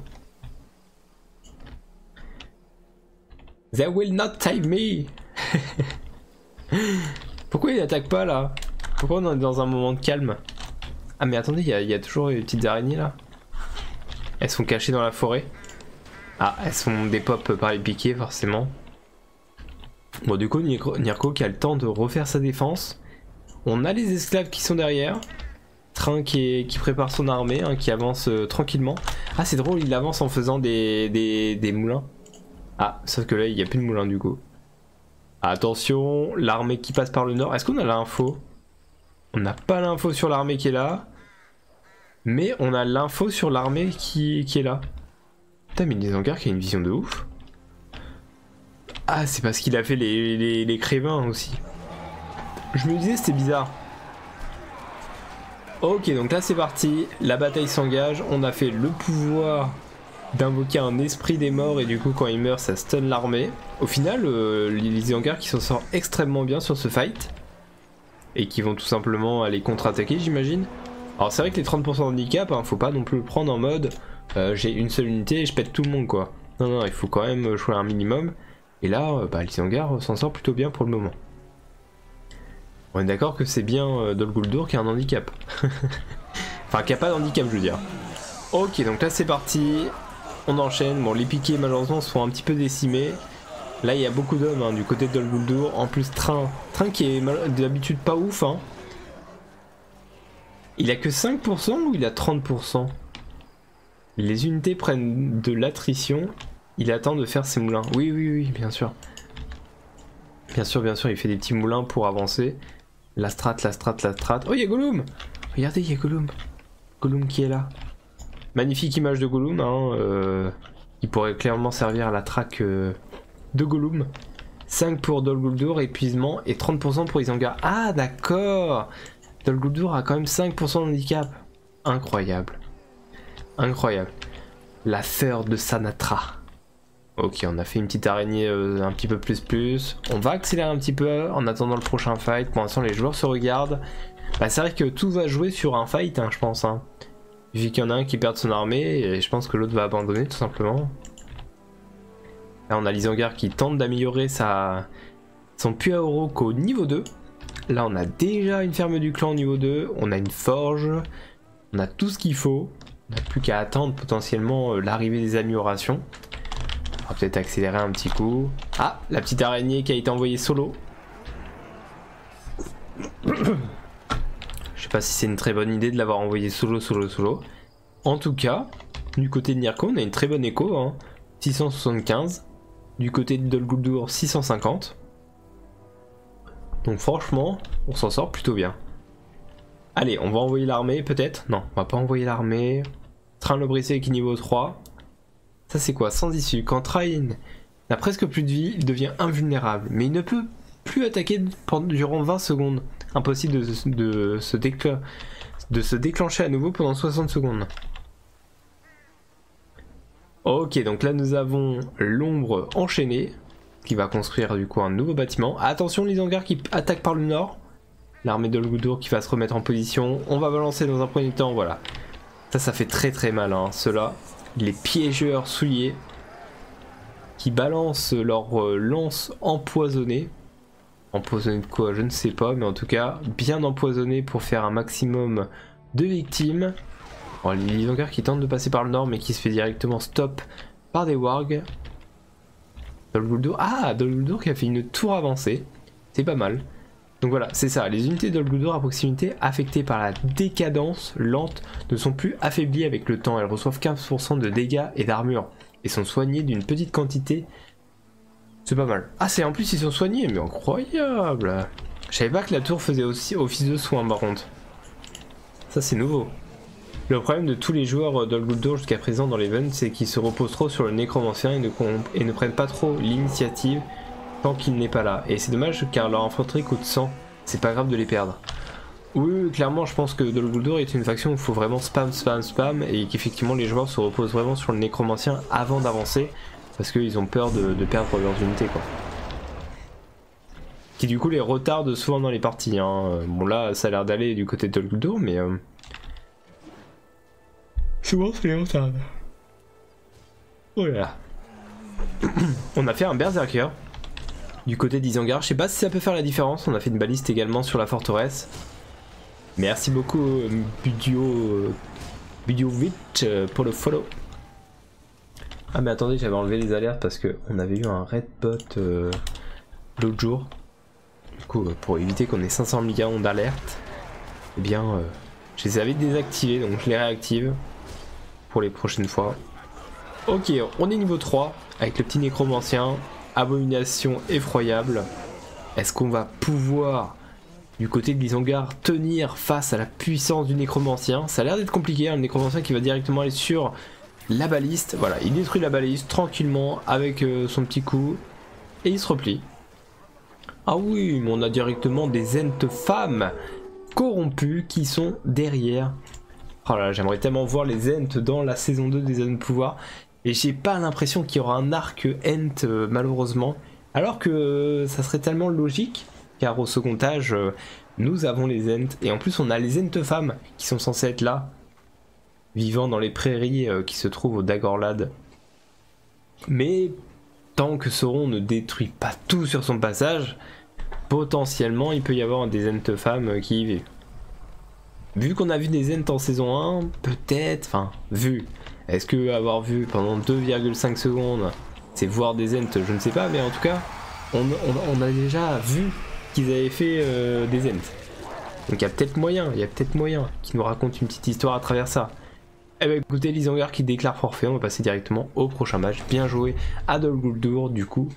They will not save me Pourquoi il n'attaquent pas là Pourquoi on est dans un moment de calme Ah mais attendez, il y, a toujours les petites araignées là. Elles sont cachées dans la forêt. Ah, elles sont des pop euh, par les piquets forcément. Bon, du coup, Nirko qui a le temps de refaire sa défense. On a les esclaves qui sont derrière. Train qui, prépare son armée, hein, qui avance euh, tranquillement. Ah, c'est drôle, il avance en faisant des, des, moulins. Ah, sauf que là, il n'y a plus de moulins du coup. Attention, l'armée qui passe par le nord. Est-ce qu'on a l'info On n'a pas l'info sur l'armée qui est là. Mais on a l'info sur l'armée qui, est là. Putain, mais qui a une vision de ouf. Ah, c'est parce qu'il a fait les, crévins aussi. Je me disais, c'était bizarre. Ok, donc là c'est parti, la bataille s'engage, on a fait le pouvoir d'invoquer un esprit des morts et du coup quand il meurt ça stun l'armée. Au final, euh, les qui s'en sort extrêmement bien sur ce fight et qui vont tout simplement aller contre-attaquer, j'imagine. Alors c'est vrai que les 30% de handicap, hein, faut pas non plus le prendre en mode euh, j'ai une seule unité et je pète tout le monde quoi. Non, non, il faut quand même choisir un minimum. Et là, euh, bah les s'en sort plutôt bien pour le moment. On est d'accord que c'est bien euh, Dolguldur qui a un handicap. enfin, qui a pas d'handicap, je veux dire. Ok, donc là c'est parti. On enchaîne. Bon, les piquets malheureusement font un petit peu décimés. Là, il y a beaucoup d'hommes hein, du côté de Dolguldur. En plus, Train. Train qui est d'habitude pas ouf. Hein. Il a que 5% ou il a 30% Les unités prennent de l'attrition. Il attend de faire ses moulins. Oui, oui, oui, bien sûr. Bien sûr, bien sûr, il fait des petits moulins pour avancer. La strat, la strat, la strat. Oh, il y a Gollum Regardez, il y a Gollum. Gollum qui est là. Magnifique image de Gollum. Hein, euh, il pourrait clairement servir à la traque euh, de Gollum. 5 pour Dol Guldur, épuisement, et 30% pour Isengard. Ah d'accord Dol Guldur a quand même 5% de handicap. Incroyable. Incroyable. La sœur de Sanatra. Ok, on a fait une petite araignée euh, un petit peu plus plus. On va accélérer un petit peu euh, en attendant le prochain fight. Pour l'instant, les joueurs se regardent. Bah, c'est vrai que tout va jouer sur un fight, hein, je pense. Hein. Vu qu'il y en a un qui perd son armée, et je pense que l'autre va abandonner tout simplement. Là, on a l'Isangar qui tente d'améliorer sa... son puits à oro qu'au niveau 2. Là, on a déjà une ferme du clan au niveau 2, on a une forge, on a tout ce qu'il faut. On n'a plus qu'à attendre potentiellement euh, l'arrivée des améliorations. On va peut-être accélérer un petit coup. Ah, la petite araignée qui a été envoyée solo. Je sais pas si c'est une très bonne idée de l'avoir envoyé solo, solo, solo. En tout cas, du côté de Nirko, on a une très bonne écho. Hein. 675. Du côté de Dolguldur, 650. Donc franchement, on s'en sort plutôt bien. Allez, on va envoyer l'armée peut-être Non, on va pas envoyer l'armée. Train le brisé qui niveau 3. Ça c'est quoi Sans issue. Quand Train n'a presque plus de vie, il devient invulnérable, mais il ne peut plus attaquer durant 20 secondes. Impossible de, se, déclencher à nouveau pendant 60 secondes. Ok, donc là nous avons l'ombre enchaînée, qui va construire du coup un nouveau bâtiment. Attention les hangars qui attaquent par le nord. L'armée de Goldur qui va se remettre en position. On va balancer dans un premier temps, voilà. Ça, ça fait très très mal, hein. Ceux-là, les piégeurs souillés qui balancent leur euh, lance empoisonnée. Empoisonnée de quoi Je ne sais pas, mais en tout cas, bien empoisonnée pour faire un maximum de victimes. les qui tentent de passer par le nord, mais qui se fait directement stop par des wargs. Dol Ah, Dol Guldur qui a fait une tour avancée. C'est pas mal. Donc voilà, c'est ça, les unités Dol Guldur à proximité affectées par la décadence lente ne sont plus affaiblies avec le temps, elles reçoivent 15% de dégâts et d'armure et sont soignées d'une petite quantité. C'est pas mal. Ah, c'est en plus ils sont soignés, mais incroyable Je savais pas que la tour faisait aussi office de soin par Ça c'est nouveau. Le problème de tous les joueurs euh, d'Old jusqu'à présent dans l'event, c'est qu'ils se reposent trop sur le nécromancien et ne, prennent pas trop l'initiative tant qu'il n'est pas là. Et c'est dommage car leur infanterie coûte 100 c'est pas grave de les perdre. Oui, clairement, je pense que Dol est une faction où il faut vraiment spam, spam, spam, et qu'effectivement les joueurs se reposent vraiment sur le nécromancien avant d'avancer, parce qu'ils ont peur de, perdre leurs unités, quoi. Qui du coup les retarde souvent dans les parties. Hein. Bon là, ça a l'air d'aller du côté de mais euh, souvent c'est les retarde. Oh On a fait un berserker du côté d'Isangar. Je sais pas si ça peut faire la différence. On a fait une baliste également sur la forteresse. Merci beaucoup, euh, Budio. Euh, euh, pour le follow. Ah, mais attendez, j'avais enlevé les alertes parce qu'on avait eu un red bot l'autre jour. Du coup, pour éviter qu'on ait 500 millions d'alertes, eh bien, je les avais désactivés donc je les réactive pour les prochaines fois. Ok, on est niveau 3 avec le petit nécromancien. Abomination effroyable. Est-ce qu'on va pouvoir, du côté de l'Isongar, tenir face à la puissance du nécromancien Ça a l'air d'être compliqué, hein, le nécromancien qui va directement aller sur la baliste. Voilà, il détruit la baliste tranquillement avec euh, son petit coup et il se replie. Ah oui, mais on a directement des entes femmes corrompus qui sont derrière. Oh j'aimerais tellement voir les Ents dans la saison 2 des zones Pouvoir. Et j'ai pas l'impression qu'il y aura un arc Ent, euh, malheureusement. Alors que euh, ça serait tellement logique, car au second âge, euh, nous avons les Ents. Et en plus, on a les Ent femmes qui sont censées être là, vivant dans les prairies qui se trouvent au Dagorlad. Mais tant que Sauron ne détruit pas tout sur son passage, potentiellement il peut y avoir des entes femmes qui y vivent. Vu qu'on a vu des entes en saison 1, peut-être, enfin, vu. Est-ce que avoir vu pendant 2,5 secondes, c'est voir des entes, je ne sais pas, mais en tout cas, on, a déjà vu qu'ils avaient fait euh, des entes. Donc il y a peut-être moyen, il y a peut-être moyen qu'ils nous raconte une petite histoire à travers ça. Eh bah écoutez, Lisanger qui déclare forfait, on va passer directement au prochain match. Bien joué à du coup,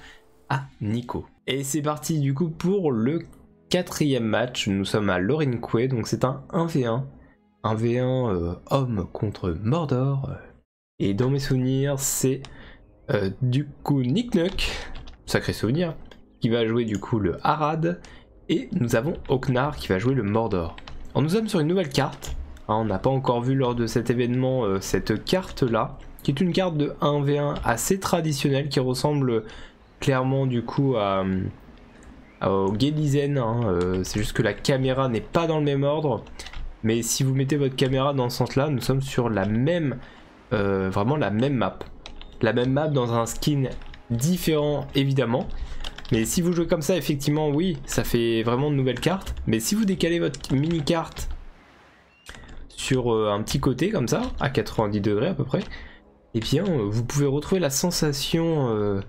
à Nico. Et c'est parti du coup pour le quatrième match. Nous sommes à Lorin donc c'est un 1v1. 1v1 euh, homme contre Mordor. Et dans mes souvenirs, c'est euh, du coup Nick sacré souvenir, qui va jouer du coup le Harad. Et nous avons Oknar qui va jouer le Mordor. On nous sommes sur une nouvelle carte Hein, on n'a pas encore vu lors de cet événement euh, cette carte-là, qui est une carte de 1v1 assez traditionnelle, qui ressemble clairement du coup à, euh, au Gelizen. Hein, euh, c'est juste que la caméra n'est pas dans le même ordre. Mais si vous mettez votre caméra dans ce sens-là, nous sommes sur la même, vraiment la même map. La même map dans un skin différent évidemment. Mais si vous jouez comme ça, effectivement, oui, ça fait vraiment de nouvelles cartes. Mais si vous décalez votre mini-carte sur euh, un petit côté comme ça, à 90 degrés à peu près, et eh bien euh, vous pouvez retrouver la sensation euh,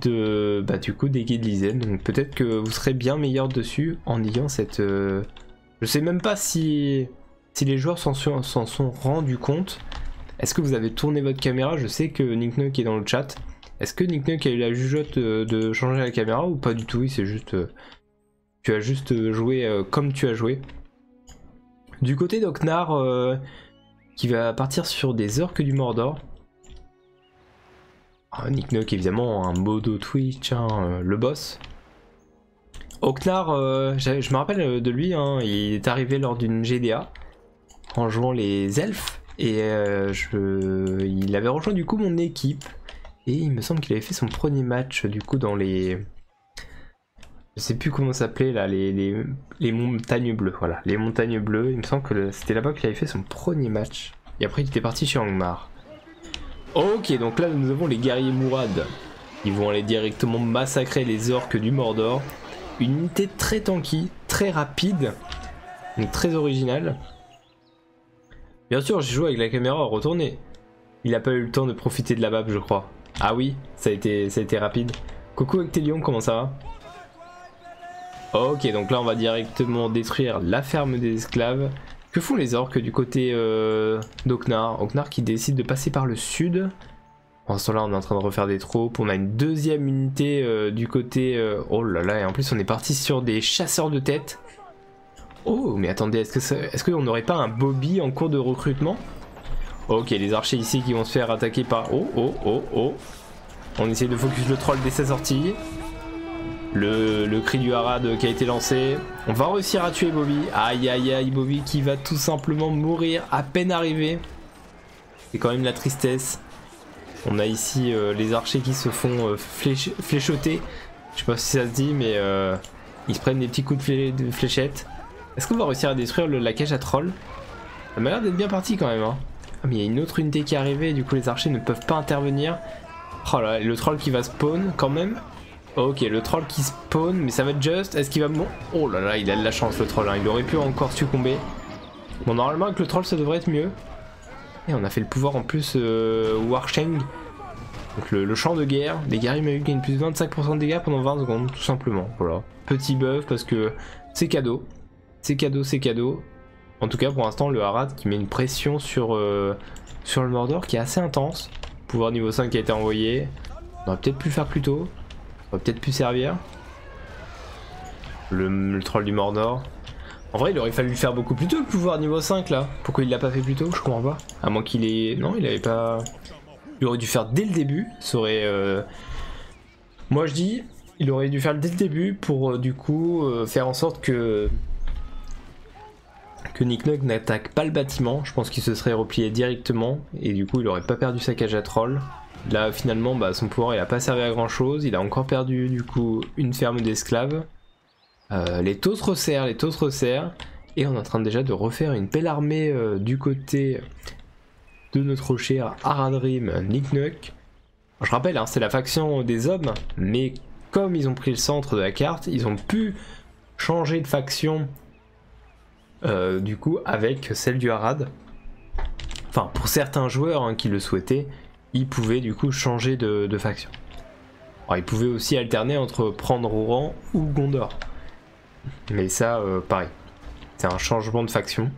de bah, du coup des guides Donc peut-être que vous serez bien meilleur dessus en ayant cette. Je sais même pas si si les joueurs s'en sont, sont rendus compte. Est-ce que vous avez tourné votre caméra Je sais que Nick est dans le chat est-ce que Nick a eu la jugeote euh, de changer la caméra ou pas du tout Oui, c'est juste. Euh, tu as juste euh, joué comme tu as joué. Du côté d'Oknar, qui va partir sur des orques du Mordor. Ah, Nick évidemment, un modo Twitch, hein, le boss. Oknar, je me rappelle de lui, hein, il est arrivé lors d'une GDA en jouant les elfes. Et il avait rejoint du coup mon équipe. Et il me semble qu'il avait fait son premier match du coup dans les. Je sais plus comment s'appelait là, les, les, les, montagnes bleues. Voilà, les montagnes bleues. Il me semble que c'était là-bas qu'il avait fait son premier match. Et après, il était parti chez Angmar. Ok, donc là, nous avons les guerriers Mourad. Ils vont aller directement massacrer les orques du Mordor. Une unité très tanky, très rapide, donc très originale. Bien sûr, j'ai joué avec la caméra Retournez. Il a pas eu le temps de profiter de la bab, je crois. Ah oui, ça a été, ça a été rapide. Coucou Actelion, comment ça va Ok, donc là on va directement détruire la ferme des esclaves. Que font les orques du côté euh, d'Oknar Oknar qui décide de passer par le sud. En ce moment là on est en train de refaire des troupes. On a une deuxième unité euh, du côté... Euh, oh là là, et en plus on est parti sur des chasseurs de tête. Oh, mais attendez, est-ce que est-ce qu'on n'aurait pas un Bobby en cours de recrutement Ok, les archers ici qui vont se faire attaquer par... Oh, oh, oh, oh. On essaie de focus le troll dès sa sortie. Le, cri du Harad qui a été lancé. On va réussir à tuer Bobby. Aïe aïe aïe Bobby qui va tout simplement mourir à peine arrivé. C'est quand même la tristesse. On a ici euh, les archers qui se font euh, fléchoter je sais pas si ça se dit, mais euh, ils se prennent des petits coups de, fléchettes. Est-ce qu'on va réussir à détruire la cage à troll Ça m'a l'air d'être bien parti quand même. Hein. Ah, mais il y a une autre unité qui est arrivée, et du coup les archers ne peuvent pas intervenir. Oh là, le troll qui va spawn quand même. Ok, le troll qui spawn, mais ça va être juste. Est-ce qu'il va... Bon... Oh là là, il a de la chance le troll, hein. il aurait pu encore succomber. Bon, normalement avec le troll ça devrait être mieux. Et on a fait le pouvoir en plus euh, Warsheng. Donc le, champ de guerre, les guerriers eu gagné plus de 25% de dégâts pendant 20 secondes, tout simplement. Voilà. Petit buff parce que c'est cadeau. C'est cadeau, c'est cadeau. En tout cas pour l'instant le Harad qui met une pression sur, euh, sur le Mordor qui est assez intense. Pouvoir niveau 5 qui a été envoyé. On aurait peut-être pu faire plus tôt. On aurait peut-être pu servir. le troll du Mordor. En vrai, il aurait fallu le faire beaucoup plus tôt le pouvoir niveau 5 là. Pourquoi il l'a pas fait plus tôt Je comprends pas. À moins qu'il ait. Non, il avait pas. Il aurait dû faire dès le début. Ça aurait. Euh, moi je dis, il aurait dû faire dès le début pour euh, du coup euh, faire en sorte que. Que Nick n'attaque pas le bâtiment. Je pense qu'il se serait replié directement. Et du coup, il aurait pas perdu sa cage à troll. Là, finalement, bah, son pouvoir il a pas servi à grand chose. Il a encore perdu du coup une ferme d'esclaves. Euh, les taux se les taux se Et on est en train déjà de refaire une belle armée euh, du côté de notre cher Haradrim Nuck. Je rappelle, hein, c'est la faction des hommes, mais comme ils ont pris le centre de la carte, ils ont pu changer de faction euh, du coup avec celle du Harad. Enfin, pour certains joueurs hein, qui le souhaitaient, il pouvait du coup changer de, faction. il pouvait aussi alterner entre prendre Oran ou Gondor. Mais ça, euh, pareil. C'est un changement de faction.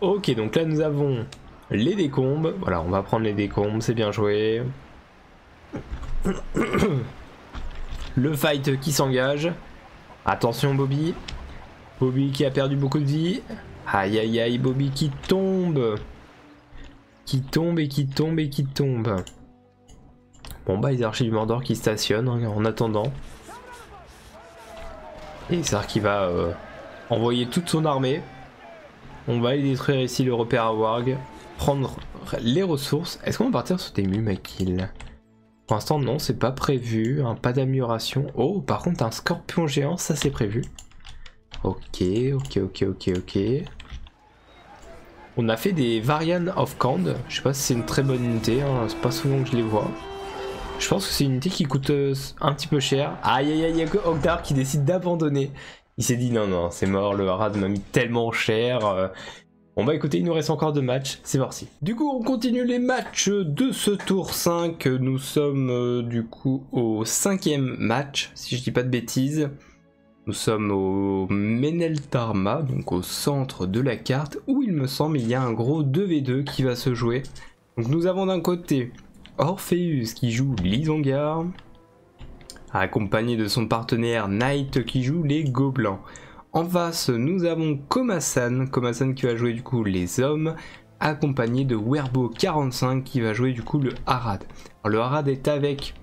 Ok, donc là nous avons les décombres, Voilà, on va prendre les décombres, c'est bien joué. Le fight qui s'engage. Attention Bobby. Bobby qui a perdu beaucoup de vie. Aïe aïe aïe, Bobby qui tombe Qui tombe et qui tombe et qui tombe. Bon bah les archives du Mordor qui stationnent hein, en attendant. Et ça qui va euh, envoyer toute son armée. On va aller détruire ici le repère à Warg. Prendre les ressources. Est-ce qu'on va partir sur des Mumakil Pour l'instant non, c'est pas prévu. Hein, pas d'amélioration. Oh par contre un scorpion géant, ça c'est prévu. Ok, ok, ok, ok, ok. On a fait des Varian of Kand. Je sais pas si c'est une très bonne unité, hein. c'est pas souvent que je les vois. Je pense que c'est une unité qui coûte euh, un petit peu cher. Aïe aïe aïe, que qui décide d'abandonner. Il s'est dit non, non, c'est mort, le Harad m'a mis tellement cher. Euh. bon On va bah, écouter, il nous reste encore deux matchs, c'est si Du coup, on continue les matchs de ce tour 5. Nous sommes euh, du coup au cinquième match, si je dis pas de bêtises. Nous sommes au Meneltarma, donc au centre de la carte, où il me semble il y a un gros 2v2 qui va se jouer. nous avons d'un côté Orpheus qui joue l'Isongar, accompagné de son partenaire Knight qui joue les Gobelins. En face, nous avons Komasan, Komasan qui va jouer du coup les hommes, accompagné de Werbo45 qui va jouer du coup le Harad. le Harad est avec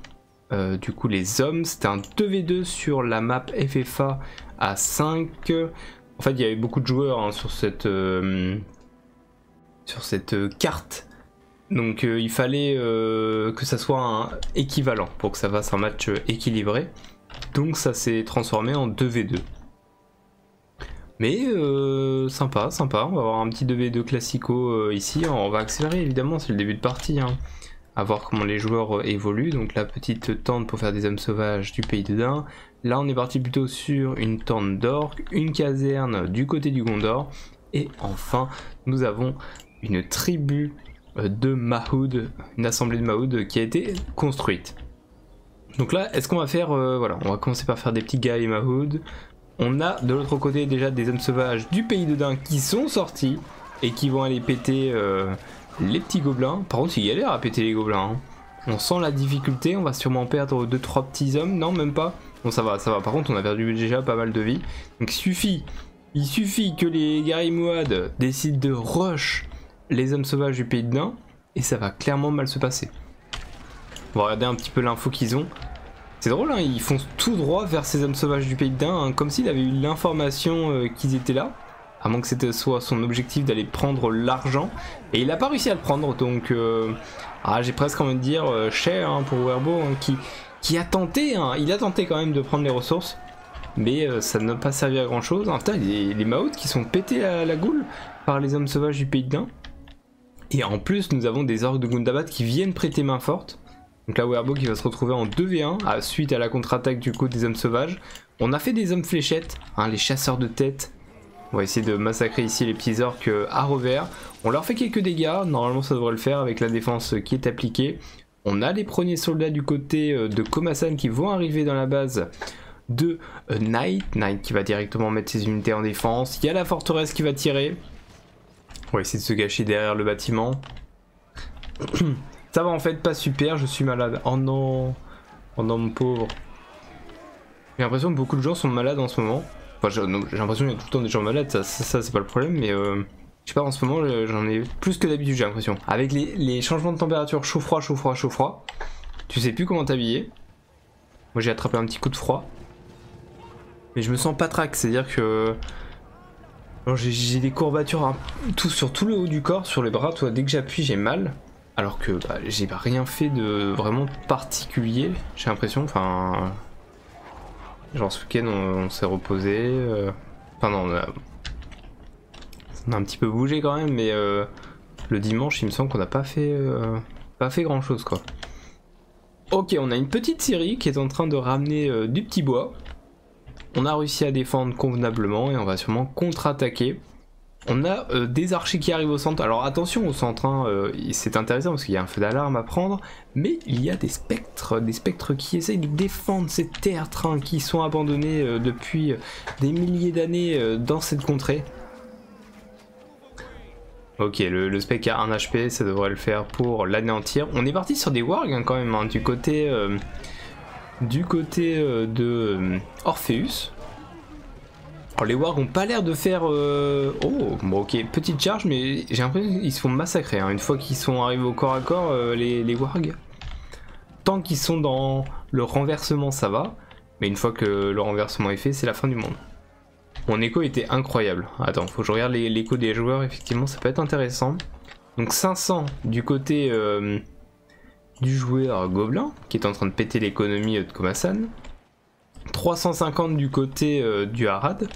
euh, du coup les hommes, c'était un 2v2 sur la map FFA à 5. En fait il y avait beaucoup de joueurs hein, sur cette, euh, sur cette euh, carte. Donc il fallait que ça soit un équivalent pour que ça fasse un match équilibré. Donc ça s'est transformé en 2v2. Mais euh, sympa, sympa. On va avoir un petit 2v2 classico euh, ici. On va accélérer évidemment, c'est le début de partie. A hein. À voir comment les joueurs euh, évoluent. Donc la petite tente pour faire des hommes sauvages du pays de Dain. Là on est parti plutôt sur une tente d'orque, une caserne du côté du Gondor. Et enfin nous avons une tribu de Mahoud, une assemblée de Mahoud qui a été construite. Donc là, est-ce qu'on va faire, voilà, on va commencer par faire des petits gars et Mahoud, on a de l'autre côté déjà des hommes sauvages du pays de Dain qui sont sortis et qui vont aller péter euh, les petits gobelins. Par contre, il galère à péter les gobelins. Hein. On sent la difficulté, on va sûrement perdre 2-3 petits hommes. Non, même pas. Bon, ça va, ça va. Par contre, on a perdu déjà pas mal de vie. Donc, suffit. Il suffit que les garimouades décident de rush les hommes sauvages du pays de Dain et ça va clairement mal se passer. On va regarder un petit peu l'info qu'ils ont. C'est drôle, hein, ils foncent tout droit vers ces hommes sauvages du pays de Dain, hein, comme s'il avait eu l'information euh, qu'ils étaient là. À moins que ce soit son objectif d'aller prendre l'argent. Et il n'a pas réussi à le prendre, donc... Euh, ah, j'ai presque envie de dire euh, cher hein, pour Werbo, hein, qui, a tenté, il a tenté quand même de prendre les ressources. Mais ça n'a pas servi à grand chose. En les, les Maouts qui sont pétés à la goule par les hommes sauvages du pays de Dain. Et en plus, nous avons des orques de Gundabad qui viennent prêter main forte. Donc là, Werbo qui va se retrouver en 2v1 à, suite à la contre-attaque du coup des hommes sauvages. On a fait des hommes fléchettes, hein, les chasseurs de tête. On va essayer de massacrer ici les petits orques euh, à revers. On leur fait quelques dégâts, normalement ça devrait le faire avec la défense qui est appliquée. On a les premiers soldats du côté euh, de Komasan qui vont arriver dans la base de euh, Night Knight qui va directement mettre ses unités en défense. Il y a la forteresse qui va tirer. On va essayer de se gâcher derrière le bâtiment. Ça va en fait pas super, je suis malade. Oh, oh non mon pauvre. J'ai l'impression que beaucoup de gens sont malades en ce moment. j'ai l'impression qu'il y a tout le temps des gens malades, ça, c'est pas le problème, mais... Euh, je sais pas, en ce moment, j'en ai plus que d'habitude, j'ai l'impression. Avec les, les, changements de température, chaud-froid, chaud-froid, chaud-froid, tu sais plus comment t'habiller. Moi j'ai attrapé un petit coup de froid. Mais je me sens pas trac, c'est-à-dire que j'ai des courbatures sur tout le haut du corps, sur les bras, toi, dès que j'appuie j'ai mal. Alors que bah, j'ai rien fait de vraiment particulier, j'ai l'impression. Enfin. Genre ce week-end on, s'est reposé. Euh, enfin non, on a... un petit peu bougé quand même, mais euh, le dimanche il me semble qu'on a pas fait euh, pas fait grand chose quoi. Ok, on a une petite série qui est en train de ramener euh, du petit bois. On a réussi à défendre convenablement et on va sûrement contre-attaquer. On a euh, des archers qui arrivent au centre. Alors attention au centre, hein, euh, c'est intéressant parce qu'il y a un feu d'alarme à prendre. Mais il y a des spectres, des spectres qui essayent de défendre ces terres qui sont abandonnés depuis des milliers d'années dans cette contrée. Ok, le, spec a 1 HP, ça devrait le faire pour l'anéantir. On est parti sur des wargs hein, quand même, hein, du côté, euh, du côté euh, de euh, Orpheus. les wargs n'ont pas l'air de faire... Oh, bon ok, petite charge, mais j'ai l'impression qu'ils se font massacrer. Hein, une fois qu'ils sont arrivés au corps à corps, les, les wargs, tant qu'ils sont dans le renversement, ça va. Mais une fois que le renversement est fait, c'est la fin du monde. Mon écho était incroyable. Attends, faut que je regarde l'écho des joueurs, effectivement, ça peut être intéressant. Donc 500 du côté euh, du joueur Gobelin, qui est en train de péter l'économie de Komasan. 350 du côté euh, du Harad.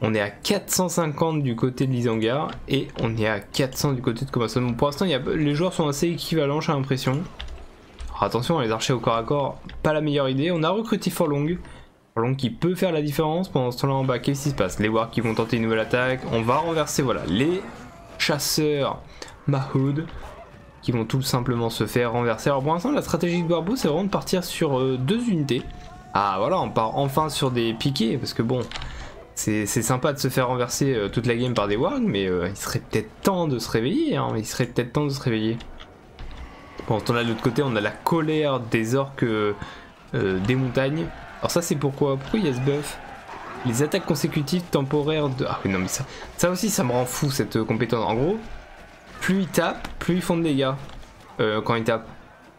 On est à 450 du côté de l'Isangar et on est à 400 du côté de Komasan. pour l'instant, les joueurs sont assez équivalents, j'ai l'impression attention, les archers au corps à corps, pas la meilleure idée. On a recruté Forlong. Forlong qui peut faire la différence pendant ce temps-là en bas. Qu'est-ce qui se passe Les Wargs qui vont tenter une nouvelle attaque. On va renverser, voilà, les chasseurs Mahoud qui vont tout simplement se faire renverser. Alors pour l'instant, la stratégie de Barbo, c'est vraiment de partir sur euh, deux unités. Ah voilà, on part enfin sur des piquets, parce que bon, c'est sympa de se faire renverser euh, toute la game par des wargs, mais euh, il serait peut-être temps de se réveiller, hein. il serait peut-être temps de se réveiller. Bon on a de l'autre côté, on a la colère des orques euh, euh, des montagnes. Alors ça, c'est pourquoi Pourquoi il y a ce buff Les attaques consécutives temporaires de... Ah oui, non, mais ça, ça aussi, ça me rend fou, cette euh, compétence. En gros, plus ils tapent, plus ils font de dégâts quand ils tapent.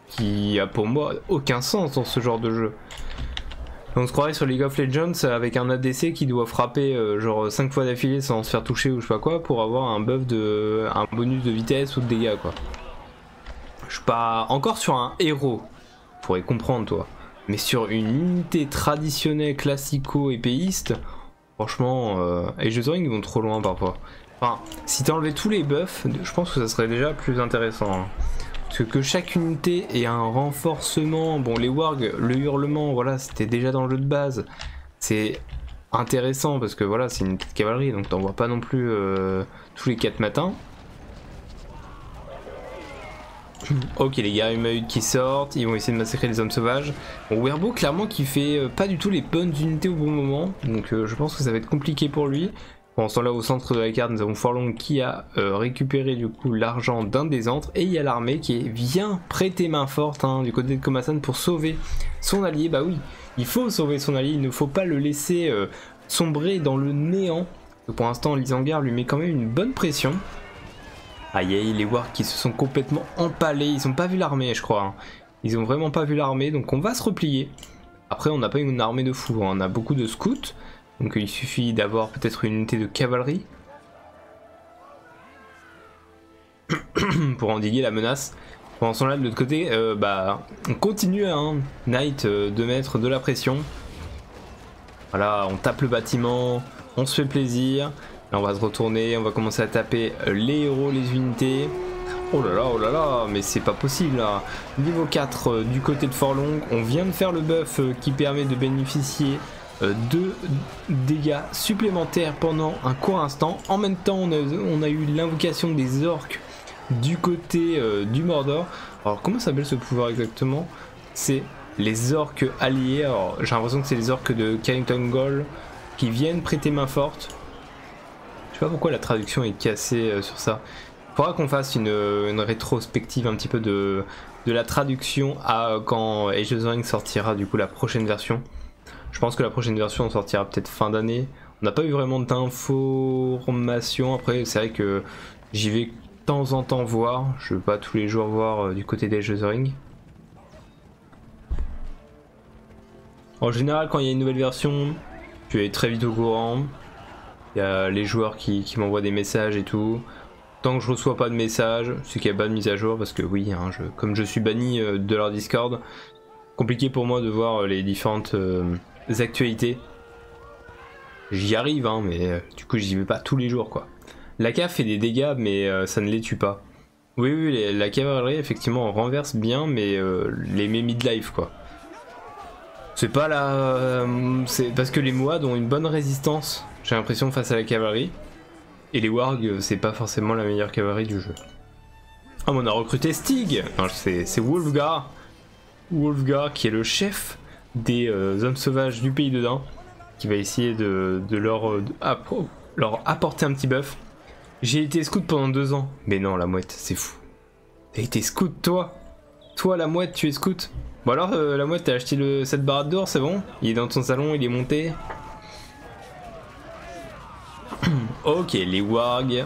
Qui a pour moi aucun sens dans ce genre de jeu. On se croirait sur League of Legends avec un ADC qui doit frapper genre 5 fois d'affilée sans, se faire toucher ou je sais pas quoi pour avoir un buff de un bonus de vitesse ou de dégâts quoi. Je suis pas encore sur un héros, Pour y comprendre toi. Mais sur une unité traditionnelle classico-épéiste, franchement, et euh, je sais qu'ils vont trop loin parfois. Enfin, si t'enlevais tous les buffs, je pense que ça serait déjà plus intéressant. Hein. Parce que, chaque unité ait un renforcement, bon les wargs, le hurlement, voilà, c'était déjà dans le jeu de base. C'est intéressant parce que voilà, c'est une petite cavalerie donc t'en vois pas non plus euh, tous les 4 matins. Ok les gars, eu qui sortent, ils vont essayer de massacrer les hommes sauvages. Bon, Werbo clairement qui fait euh, pas du tout les bonnes unités au bon moment, donc euh, je pense que ça va être compliqué pour lui. Bon, en ce là au centre de la carte, nous avons Forlong qui a récupéré du coup l'argent d'un des antres, et il y a l'armée qui vient prêter main forte Hein, du côté de Komasan pour sauver son allié. Bah oui, il faut sauver son allié, il ne faut pas le laisser euh, sombrer dans le néant. Pour l'instant, Lisangar lui met quand même une bonne pression. Aïe les War qui se sont complètement empalés, ils ont pas vu l'armée je crois. Hein. Ils ont vraiment pas vu l'armée, donc on va se replier. Après, on n'a pas une armée de fous, hein. on a beaucoup de scouts. Donc il suffit d'avoir peut-être une unité de cavalerie. pour endiguer la menace. Pendant ce là de l'autre côté, euh, bah, on continue à hein, Knight euh, de mettre de la pression. Voilà, on tape le bâtiment, on se fait plaisir. on va se retourner, on va commencer à taper euh, les héros, les unités. Oh là là, oh là là, mais c'est pas possible Niveau 4 du côté de Forlong on vient de faire le buff qui permet de bénéficier euh, deux dégâts supplémentaires pendant un court instant. En même temps, on a, eu l'invocation des orques du côté euh, du Mordor. Alors, comment s'appelle ce pouvoir exactement C'est les orques alliés. Alors, j'ai l'impression que c'est les orques de Carrington Gold qui viennent prêter main forte. Je sais pas pourquoi la traduction est cassée euh, sur ça. Il faudra qu'on fasse une, rétrospective un petit peu de, la traduction à quand Age of the sortira du coup la prochaine version. Je pense que la prochaine version sortira peut-être fin d'année. On n'a pas eu vraiment d'informations. Après, c'est vrai que j'y vais de temps en temps voir. Je veux pas tous les jours voir euh, du côté des the Ring. En général, quand il y a une nouvelle version, tu es très vite au courant. Il y a les joueurs qui, qui m'envoient des messages et tout. Tant que je reçois pas de messages, c'est qu'il n'y a pas de mise à jour parce que oui, hein, comme je suis banni euh, de leur Discord, compliqué pour moi de voir euh, les différentes euh, actualités. J'y arrive, hein, mais du coup j'y vais pas tous les jours quoi. La caf fait des dégâts, mais ça ne les tue pas. Oui, oui, la cavalerie effectivement renverse bien, mais les de life, quoi. C'est pas la. C'est parce que les Moad ont une bonne résistance, j'ai l'impression, face à la cavalerie. Et les wargs, c'est pas forcément la meilleure cavalerie du jeu. Ah, mais on a recruté Stig C'est Wolfgar. Wolfgar qui est le chef des euh, hommes sauvages du pays dedans. Qui va essayer de, euh, leur, apporter un petit bœuf. J'ai été scout pendant deux ans. Mais non, la mouette, c'est fou. T'as été scout, toi Toi, la mouette, tu es scout Bon alors, euh, la mouette, t'as acheté le, cette barre d'or, c'est bon Il est dans ton salon, il est monté ok, les wargs.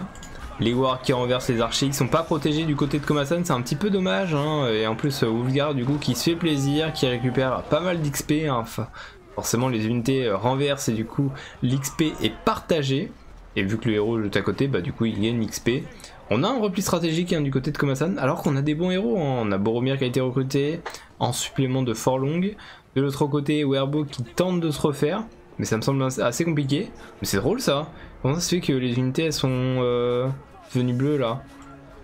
Les wargs qui renversent les archers sont pas protégés du côté de Komasan, c'est un petit peu dommage. Hein. Et en plus, Wolfgar, du coup, qui se fait plaisir, qui récupère pas mal d'XP. Hein. Forcément, les unités euh, renversent et du coup, l'XP est partagé. Et vu que le héros est à côté, bah, du coup, il gagne XP. On a un repli stratégique hein, du côté de Komasan, alors qu'on a des bons héros. On a Boromir qui a été recruté en supplément de Forlong. De l'autre côté, Werbo qui tente de se refaire. Mais ça me semble assez compliqué. Mais c'est drôle ça. Comment ça se fait que les unités elles sont devenues euh, bleues là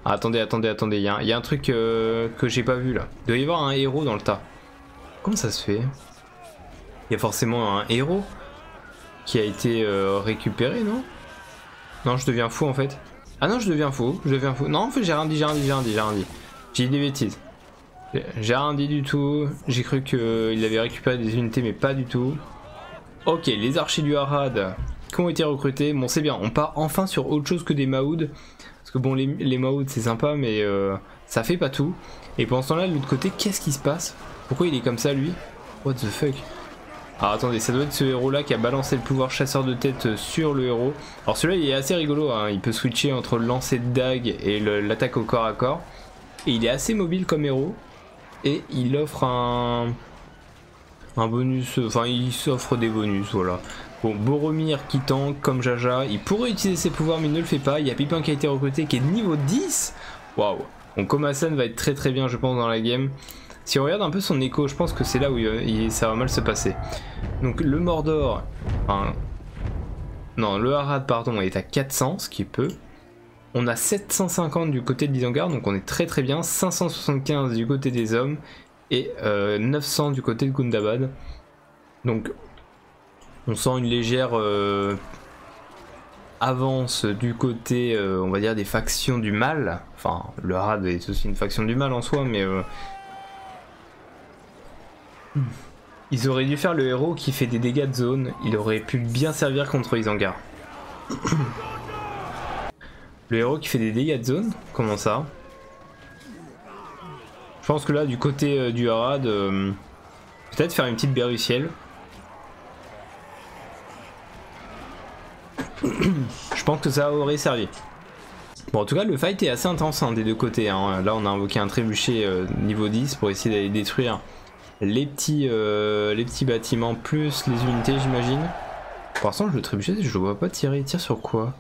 ah, Attendez, attendez, attendez. Il y, a un truc euh, que j'ai pas vu là. Il doit y avoir un héros dans le tas. Comment ça se fait Il y a forcément un héros qui a été euh, récupéré, non Non, je deviens fou en fait. Ah non, je deviens fou. Je deviens fou. Non, en fait, j'ai j'ai rien dit, j'ai rien dit, j'ai rien dit. J'ai dit des bêtises. J'ai rien dit du tout. J'ai cru qu'il euh, avait récupéré des unités, mais pas du tout. Ok, les archers du Harad qui ont été recrutés. Bon, c'est bien. On part enfin sur autre chose que des Mahouds Parce que bon, les, Mahouds c'est sympa, mais euh, ça fait pas tout. Et pendant ce temps-là, de l'autre côté, qu'est-ce qui se passe Pourquoi il est comme ça, lui What the fuck alors ah, attendez, ça doit être ce héros là qui a balancé le pouvoir chasseur de tête euh, sur le héros. Alors celui-là il est assez rigolo, hein. il peut switcher entre le lancer de dague et l'attaque au corps à corps. Et il est assez mobile comme héros. Et il offre un, un bonus, enfin il s'offre des bonus, voilà. Bon, Boromir qui tank comme Jaja, il pourrait utiliser ses pouvoirs mais il ne le fait pas. Il y a Pipin qui a été recruté qui est niveau 10. Waouh Bon, Komasan va être très très bien je pense dans la game. Si on regarde un peu son écho, je pense que c'est là où ça va mal se passer. Donc le Mordor, enfin, non, le Harad, pardon, est à 400, ce qui est peu. On a 750 du côté de l'Isangar, donc on est très très bien. 575 du côté des hommes et 900 euh, du côté de Gundabad. Donc on sent une légère euh, avance du côté, euh, on va dire, des factions du mal. Enfin, le Harad est aussi une faction du mal en soi, mais Hmm. Ils auraient dû faire le héros qui fait des dégâts de zone, il aurait pu bien servir contre Isangar. le héros qui fait des dégâts de zone Comment ça Je pense que là, du côté euh, du Harad, euh, peut-être faire une petite ciel. Je pense que ça aurait servi. Bon, en tout cas, le fight est assez intense hein, des deux côtés. Hein. Là, on a invoqué un trébuchet euh, niveau 10 pour essayer d'aller détruire euh, les petits, bâtiments plus les unités, j'imagine. Pour l'instant, le trébuchet, je le vois pas tirer. Il tire sur quoi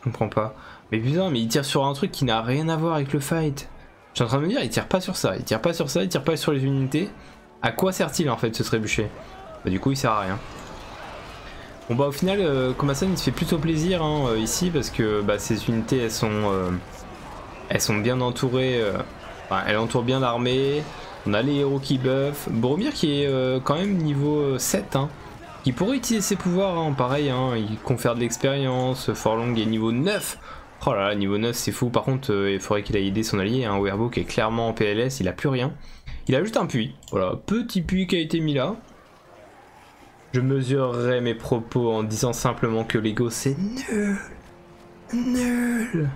Je comprends pas. Mais putain, mais il tire sur un truc qui n'a rien à voir avec le fight. Je en train de me dire, il tire pas sur ça, il tire pas sur ça, il tire pas sur les unités. À quoi sert-il en fait ce trébuchet Bah, du coup, il sert à rien. Bon bah au final, euh, Komasan il se fait plutôt plaisir hein, euh, ici parce que bah, ces unités elles sont, euh, elles sont bien entourées, enfin, elles entourent bien l'armée, on a les héros qui buffent, Bromir qui est quand même niveau 7, hein, il pourrait utiliser ses pouvoirs, hein, pareil, il confère de l'expérience, Forlong est niveau 9, oh niveau 9 c'est fou, par contre il faudrait qu'il ait aidé son allié, un Werbo qui est clairement en PLS, il a plus rien, il a juste un puits, voilà, petit puits qui a été mis là, je mesurerai mes propos en disant simplement que Lego c'est nul. Nul.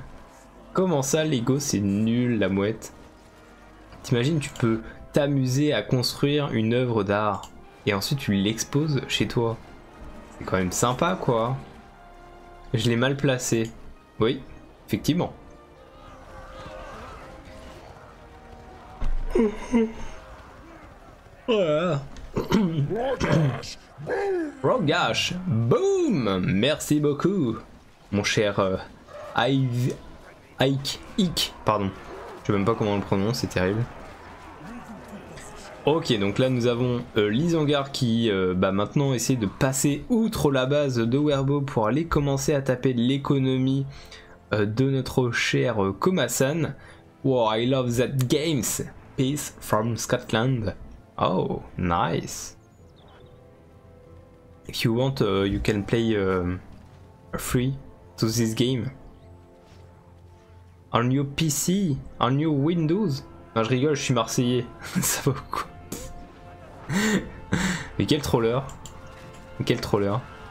Comment ça Lego c'est nul la mouette T'imagines tu peux t'amuser à construire une œuvre d'art et ensuite tu l'exposes chez toi. C'est quand même sympa quoi. Je l'ai mal placé. Oui, effectivement voilà. Rogash, boom Merci beaucoup, mon cher euh, Ike, Ike, pardon. Je sais même pas comment le prononce, c'est terrible. Ok, donc là nous avons euh, qui va euh, bah, maintenant essaie de passer outre la base de Werbo pour aller commencer à taper l'économie euh, de notre cher euh, Kuma-san Wow, I love that games. Peace from Scotland. Oh, nice. If you want, uh, you can play uh, free to this game. On your PC, on your Windows. je rigole, je suis marseillais. Ça va quoi Mais quel troller. Quel troller.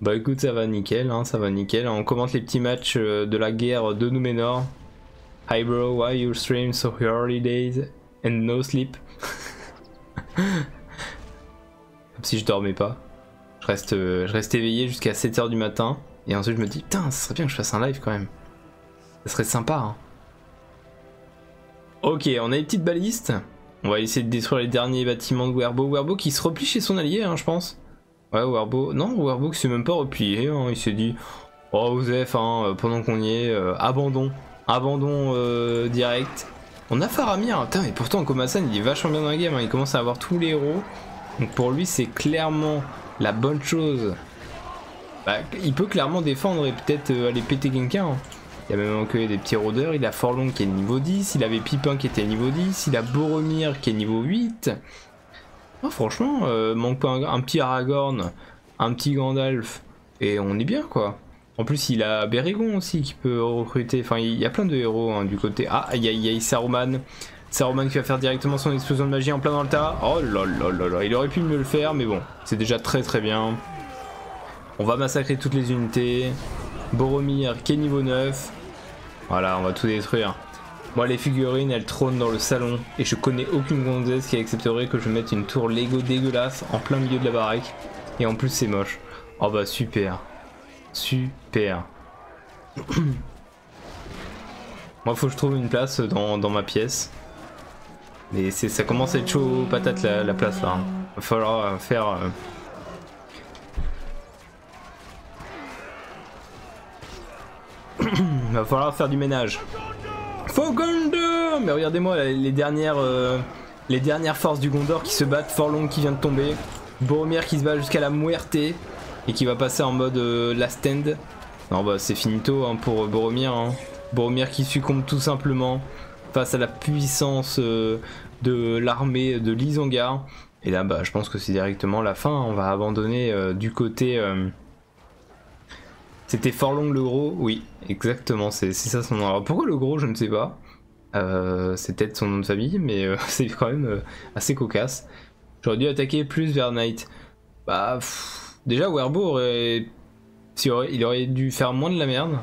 Bah écoute, ça va nickel, hein, ça va nickel. On commente les petits matchs euh, de la guerre de Numenor. Hi bro, why you stream so early days and no sleep? Comme si je dormais pas. Je reste, euh, je reste éveillé jusqu'à 7h du matin. Et ensuite je me dis, putain, ça serait bien que je fasse un live quand même. Ça serait sympa. Hein. Ok, on a les petites balistes. On va essayer de détruire les derniers bâtiments de Werbo. Werbo qui se replie chez son allié, hein, je pense. Ouais, Werbo. Non, Werbo qui s'est même pas replié. Hein. Il s'est dit Oh, euh, pendant qu'on y est, euh, abandon. Abandon euh, direct. On a Faramir. Putain, mais pourtant, Komasan, il est vachement bien dans la game. Hein. Il commence à avoir tous les héros. Donc pour lui, c'est clairement la bonne chose. Bah, il peut clairement défendre et peut-être aller péter quelqu'un. Il a même encore des petits rôdeurs. Il a Forlong qui est niveau 10. Il avait Pipin qui niveau 10, il a Boromir qui est niveau 8. Ah, franchement, euh, manque pas un, petit Aragorn, un petit Gandalf, et on est bien quoi. En plus, il a Berigon aussi qui peut recruter. Enfin, il y a plein de héros hein, du côté. Ah, y a, il a Saruman. Saruman qui va faire directement son explosion de magie en plein dans le tas. Oh là là là là, il aurait pu mieux le faire, mais bon, c'est déjà très très bien. On va massacrer toutes les unités. Boromir qui est niveau 9. Voilà, on va tout détruire. Moi, les figurines, elles trônent dans le salon, et je connais aucune gonzesse qui accepterait que je mette une tour Lego dégueulasse en plein milieu de la baraque. Et en plus, c'est moche. Oh bah super. Super. Moi, faut que je trouve une place dans, ma pièce. Mais ça commence à être chaud patate la, la place là. Hein. Va falloir euh, faire... Euh, il va falloir faire du ménage. Faux Mais regardez-moi les dernières euh, les dernières forces du Gondor qui se battent. Forlong qui vient de tomber. Boromir qui se bat jusqu'à la mouerté et qui va passer en mode euh, last stand. Non bah c'est finito hein, pour euh, Boromir. Hein. Boromir qui succombe tout simplement face à la puissance de l'armée de l'Isongar. Et là, bah, je pense que c'est directement la fin. Hein. On va abandonner euh, du côté. Euh, c'était fort long le gros Oui, exactement, c'est ça son nom. Alors pourquoi le gros Je ne sais pas. Euh, c'est peut-être son nom de famille, mais c'est quand même assez cocasse. J'aurais dû attaquer plus vers night Bah, déjà, Werbo aurait... Il aurait dû faire moins de la merde.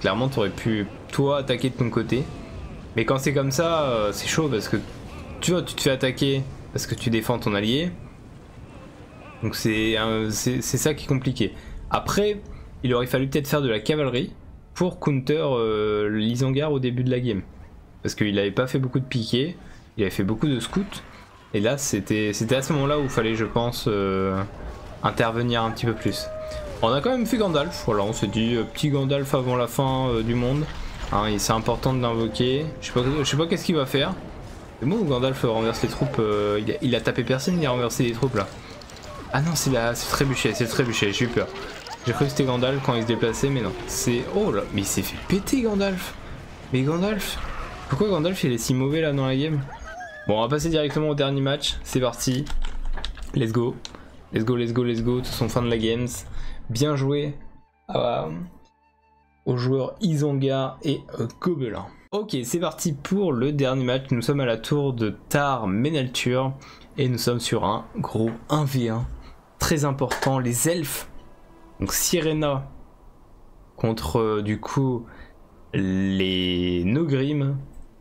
Clairement, t'aurais pu toi attaquer de ton côté. Mais quand c'est comme ça, euh, c'est chaud parce que tu vois, tu te fais attaquer parce que tu défends ton allié. Donc c'est ça qui est compliqué. Après, il aurait fallu peut-être faire de la cavalerie pour counter euh, l'isangare au début de la game. Parce qu'il n'avait pas fait beaucoup de piquets, il avait fait beaucoup de scouts. Et là, c'était à ce moment-là où il fallait, je pense, euh, intervenir un petit peu plus. On a quand même fait Gandalf, voilà, on s'est dit, euh, petit Gandalf avant la fin euh, du monde. Hein, c'est important de l'invoquer. Je sais pas, qu'est-ce qu'il va faire. C'est bon Gandalf euh, renverse les troupes il, a, tapé personne, il a renversé les troupes là. Ah non, c'est le c'est trébuchet, c'est trébuchet, j'ai eu peur. J'ai cru que c'était Gandalf quand il se déplaçait, mais non. C'est. Oh là, mais il s'est fait péter Gandalf Mais Gandalf Pourquoi Gandalf il est si mauvais là dans la game Bon, on va passer directement au dernier match. C'est parti. Let's go. Let's go, let's go, let's go. Tout son fin de la games. Bien joué aux joueurs Isonga et euh, Gobelin. Ok, c'est parti pour le dernier match. Nous sommes à la tour de Tar Menaltur et nous sommes sur un gros 1v1 très important. Les elfes, donc Sirena contre euh, du coup les Nogrim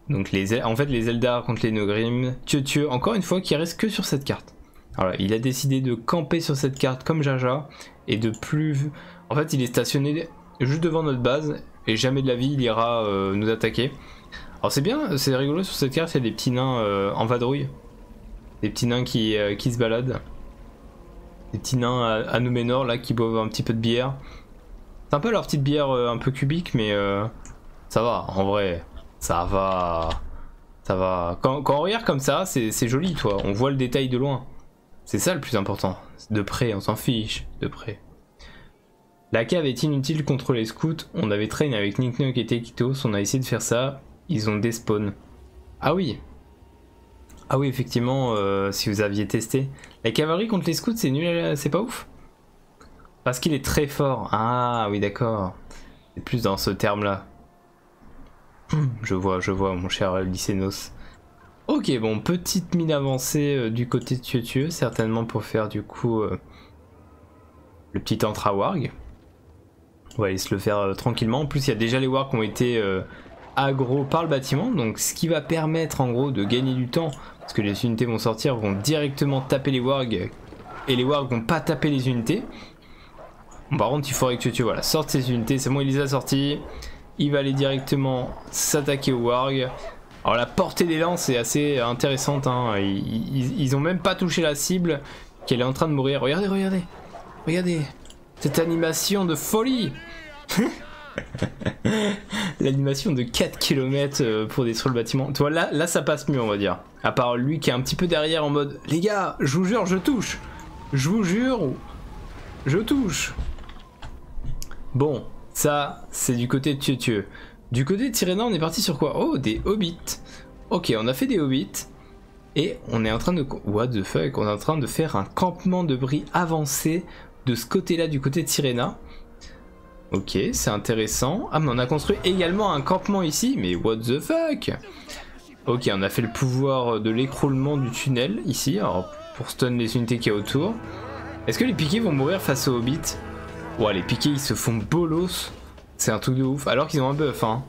donc les, en fait les Eldar contre les Nogrim, Dieu Tieu, encore une fois qui reste que sur cette carte. Alors il a décidé de camper sur cette carte comme Jaja et de plus... En fait il est stationné juste devant notre base et jamais de la vie il ira euh, nous attaquer. Alors c'est bien, c'est rigolo sur cette carte, il y a des petits nains euh, en vadrouille. Des petits nains qui, euh, qui se baladent. Des petits nains à, nos là qui boivent un petit peu de bière. C'est un peu leur petite bière un peu cubique mais ça va, en vrai. Ça va. Ça va. Quand, on regarde comme ça, c'est joli, toi. On voit le détail de loin. C'est ça le plus important. De près, on s'en fiche. De près. La cave est inutile contre les scouts. On avait traîné avec Nick Nock et Tekitos. On a essayé de faire ça. Ils ont des spawns. Ah oui. Ah oui, effectivement, euh, si vous aviez testé. La cavalerie contre les scouts, c'est nul. Euh, c'est pas ouf. Parce qu'il est très fort. Ah oui, d'accord. plus dans ce terme-là. Je vois, je vois, mon cher Lycénos. Ok, bon, petite mine avancée euh, du côté de Tieu certainement pour faire du coup euh, le petit entra Warg. On va aller se le faire euh, tranquillement. En plus, il y a déjà les Wargs qui ont été agro par le bâtiment, donc ce qui va permettre en gros de gagner du temps, parce que les unités vont sortir, vont directement taper les Wargs et les wargs n'ont pas tapé les unités. Par contre, il faudrait que tu, tu voilà, sorte ces unités. C'est bon, il les a sortis Il va aller directement s'attaquer aux wargs. Alors la portée des lances est assez intéressante. Hein. Ils, n'ont même pas touché la cible qu'elle est en train de mourir. Regardez, regardez, regardez cette animation de folie. L'animation de 4 km euh, pour détruire le bâtiment. Toi, là, ça passe mieux, on va dire. À part lui qui est un petit peu derrière en mode Les gars, je vous jure, je touche Je vous jure, je touche Bon, ça, c'est du côté de Tieu Du côté de Tyréna, on est parti sur quoi Oh, des hobbits Ok, on a fait des hobbits. Et on est en train de... What the fuck On est en train de faire un campement de bris avancé de ce côté-là, du côté de Ok, c'est intéressant. Ah, mais on a construit également un campement ici. Mais what the fuck Ok, on a fait le pouvoir de l'écroulement du tunnel ici. Alors, pour stun les unités qui y a autour. Est-ce que les piquets vont mourir face aux hobbits Ouais, les piquets, ils se font bolos. C'est un truc de ouf. Alors qu'ils ont un buff, hein.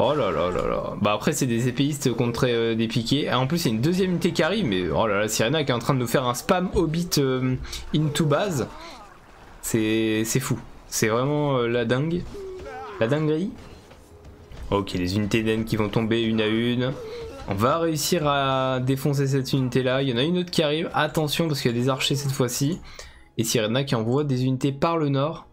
Oh là là là là. Bah après c'est des épéistes contre euh, des piquets. Ah, en plus il y a une deuxième unité qui arrive, mais oh là là, Sirena qui est en train de nous faire un spam hobbit euh, into base. C'est fou. C'est vraiment euh, la dingue. La dinguerie. Ok, les unités d'ennemis qui vont tomber une à une. On va réussir à défoncer cette unité là. Il y en a une autre qui arrive. Attention parce qu'il y a des archers cette fois-ci. Et Sirena qui envoie des unités par le nord.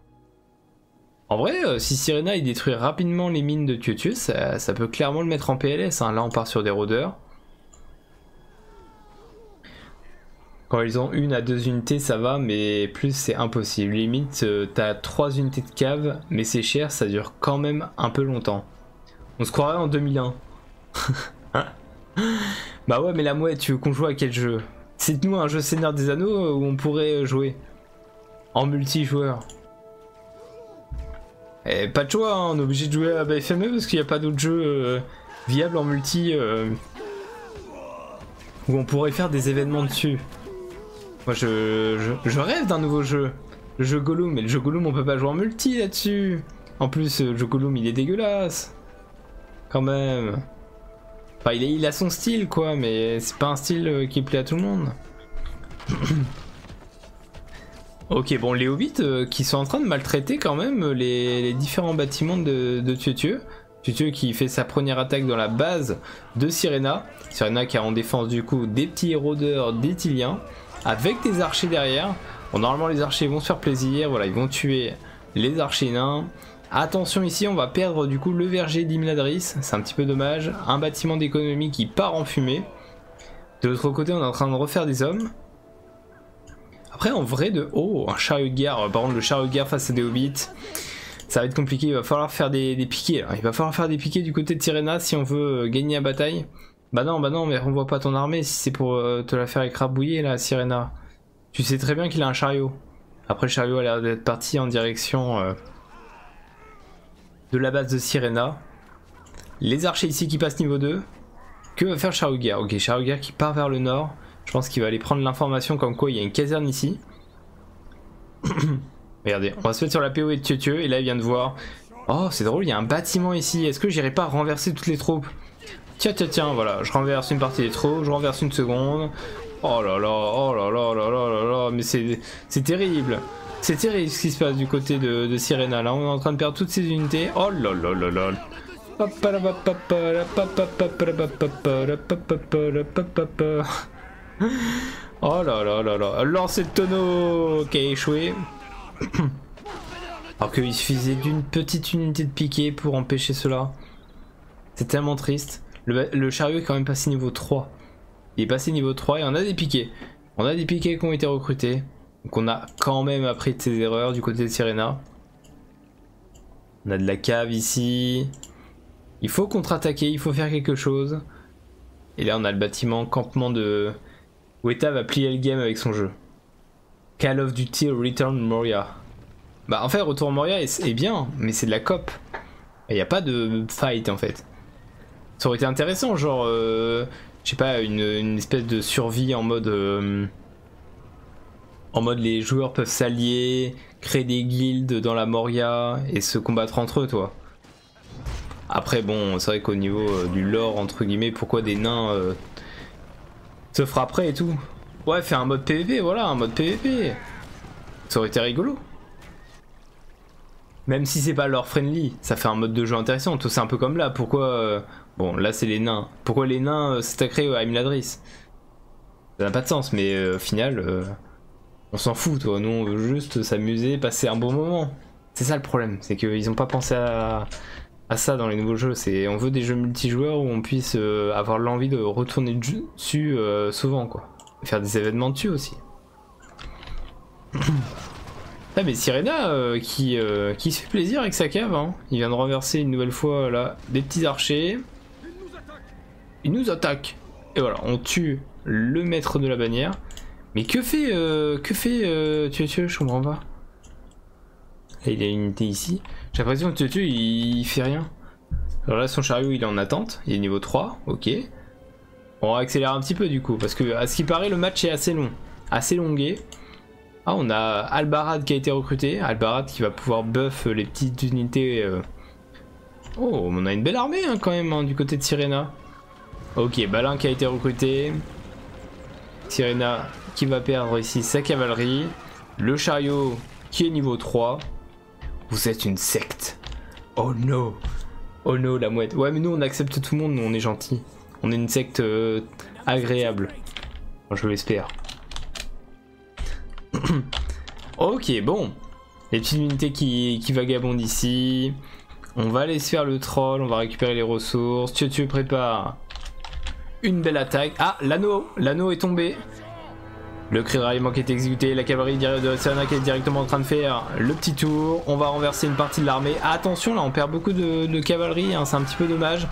En vrai, euh, si Sirena il détruit rapidement les mines de Tiotius, ça, peut clairement le mettre en PLS. Hein. Là on part sur des rôdeurs. Quand ils ont une à deux unités, ça va, mais plus c'est impossible. Limite, euh, t'as trois unités de cave, mais c'est cher, ça dure quand même un peu longtemps. On se croirait en 2001. bah ouais, mais la mouette, tu veux qu'on joue à quel jeu C'est nous un jeu Seigneur des Anneaux euh, où on pourrait jouer en multijoueur. Et eh, pas de choix, hein, on est obligé de jouer à BFME parce qu'il n'y a pas d'autre jeu. Euh, viable en multi euh, où on pourrait faire des événements dessus. Moi je, rêve d'un nouveau jeu. Le jeu Gollum, mais le jeu Gollum on peut pas jouer en multi là-dessus. En plus le jeu Gollum il est dégueulasse. Quand même. Enfin il, a son style quoi, mais c'est pas un style euh, qui plaît à tout le monde. ok bon les hobbits euh, qui sont en train de mal traiter quand même euh, les, différents bâtiments de, de Tieu qui fait sa première attaque dans la base de Sirena. Sirena qui a en défense du coup des petits rôdeurs d'Étiliens avec des archers derrière. Bon, normalement les archers vont se faire plaisir, voilà, ils vont tuer les archers nains. Attention ici, on va perdre du coup le verger d'Imladris, c'est un petit peu dommage. Un bâtiment d'économie qui part en fumée. De l'autre côté, on est en train de refaire des hommes. Après, en vrai, de. haut un chariot de guerre. Par contre, le chariot de guerre face à des hobbits, ça va être compliqué. Il va falloir faire des, piquets. Hein. Il va falloir faire des piquets du côté de Sirena si on veut euh, gagner la bataille. Bah non, bah non, mais on voit pas ton armée si c'est pour euh, te la faire écrabouiller là, Sirena. Tu sais très bien qu'il a un chariot. Après, le chariot a l'air d'être parti en direction euh, de la base de Sirena. Les archers ici qui passent niveau 2. Que va faire guerre Ok, guerre qui part vers le nord. Je pense qu'il va aller prendre l'information comme quoi il y a une caserne ici. Regardez, on va se mettre sur la PO et Tieu et là il vient de voir. Oh, c'est drôle, il y a un bâtiment ici. Est-ce que j'irai pas renverser toutes les troupes Tiens, tiens, tiens, voilà, je renverse une partie des troupes, je renverse une seconde. Oh là là, oh là là là là là là, mais c'est terrible. C'est terrible ce qui se passe du côté de, de Sirena. Là, on est en train de perdre toutes ces unités. Oh là là là là. Oh là là là là, lancer le tonneau qui a échoué. Alors qu'il suffisait d'une petite unité de piqué pour empêcher cela. C'est tellement triste. Le, chariot est quand même passé niveau 3. Il est passé niveau 3 et on a des piquets. On a des piquets qui ont été recrutés. Donc on a quand même appris de ses erreurs du côté de Sirena. On a de la cave ici. Il faut contre-attaquer, il faut faire quelque chose. Et là, on a le bâtiment campement de... Weta va plier le game avec son jeu. Call of Duty Return Moria. Bah en fait, Retour Moria est, bien, mais c'est de la cop. Il n'y a pas de fight en fait. Ça aurait été intéressant, genre, j'ai euh, je sais pas, une, espèce de survie en mode... Euh, en mode les joueurs peuvent s'allier, créer des guildes dans la Moria et se combattre entre eux, toi. Après, bon, c'est vrai qu'au niveau euh, du lore, entre guillemets, pourquoi des nains euh, se frapperaient et tout Ouais, faire un mode PvP, voilà, un mode PvP. Ça aurait été rigolo. Même si c'est pas lore friendly, ça fait un mode de jeu intéressant. Tout C'est un peu comme là, pourquoi euh, Bon, là c'est les nains. Pourquoi les nains s'est euh, à Imladris euh, Ça n'a pas de sens, mais euh, au final, on s'en fout, toi. Nous on veut juste s'amuser, passer un bon moment. C'est ça le problème, c'est qu'ils ont pas pensé à, ça dans les nouveaux jeux. C'est On veut des jeux multijoueurs où on puisse avoir l'envie de retourner dessus souvent, quoi. Faire des événements dessus aussi. ah mais Sirena qui, qui se fait plaisir avec sa cave, hein. Il vient de renverser une nouvelle fois là des petits archers. Il nous attaque. Et voilà, on tue le maître de la bannière. Mais que fait euh, que fait euh, tu je comprends pas. il a une unité ici. J'ai l'impression que tue il, il fait rien. Alors là son chariot il est en attente, il est niveau 3, ok. On va accélérer un petit peu du coup, parce que à ce qui paraît le match est assez long, assez longué. Ah, on a Albarad qui a été recruté. Albarad qui va pouvoir buff les petites unités. Euh. Oh, on a une belle armée hein, quand même hein, du côté de Sirena. Ok, Balin qui a été recruté. Sirena qui va perdre ici sa cavalerie. Le chariot qui est niveau 3. Vous êtes une secte. Oh no. Oh no, la mouette. Ouais, mais nous on accepte tout le monde, nous on est gentil. On est une secte euh, agréable. Je l'espère. ok, bon. Les petites unités qui, vagabondent ici. On va aller se faire le troll, on va récupérer les ressources. Tu, tu prépare une belle attaque. Ah, l'anneau L'anneau est tombé. Le cri de ralliement qui est exécuté, la cavalerie de Sernac est directement en train de faire le petit tour. On va renverser une partie de l'armée. attention, là on perd beaucoup de, cavalerie, hein, c'est un petit peu dommage.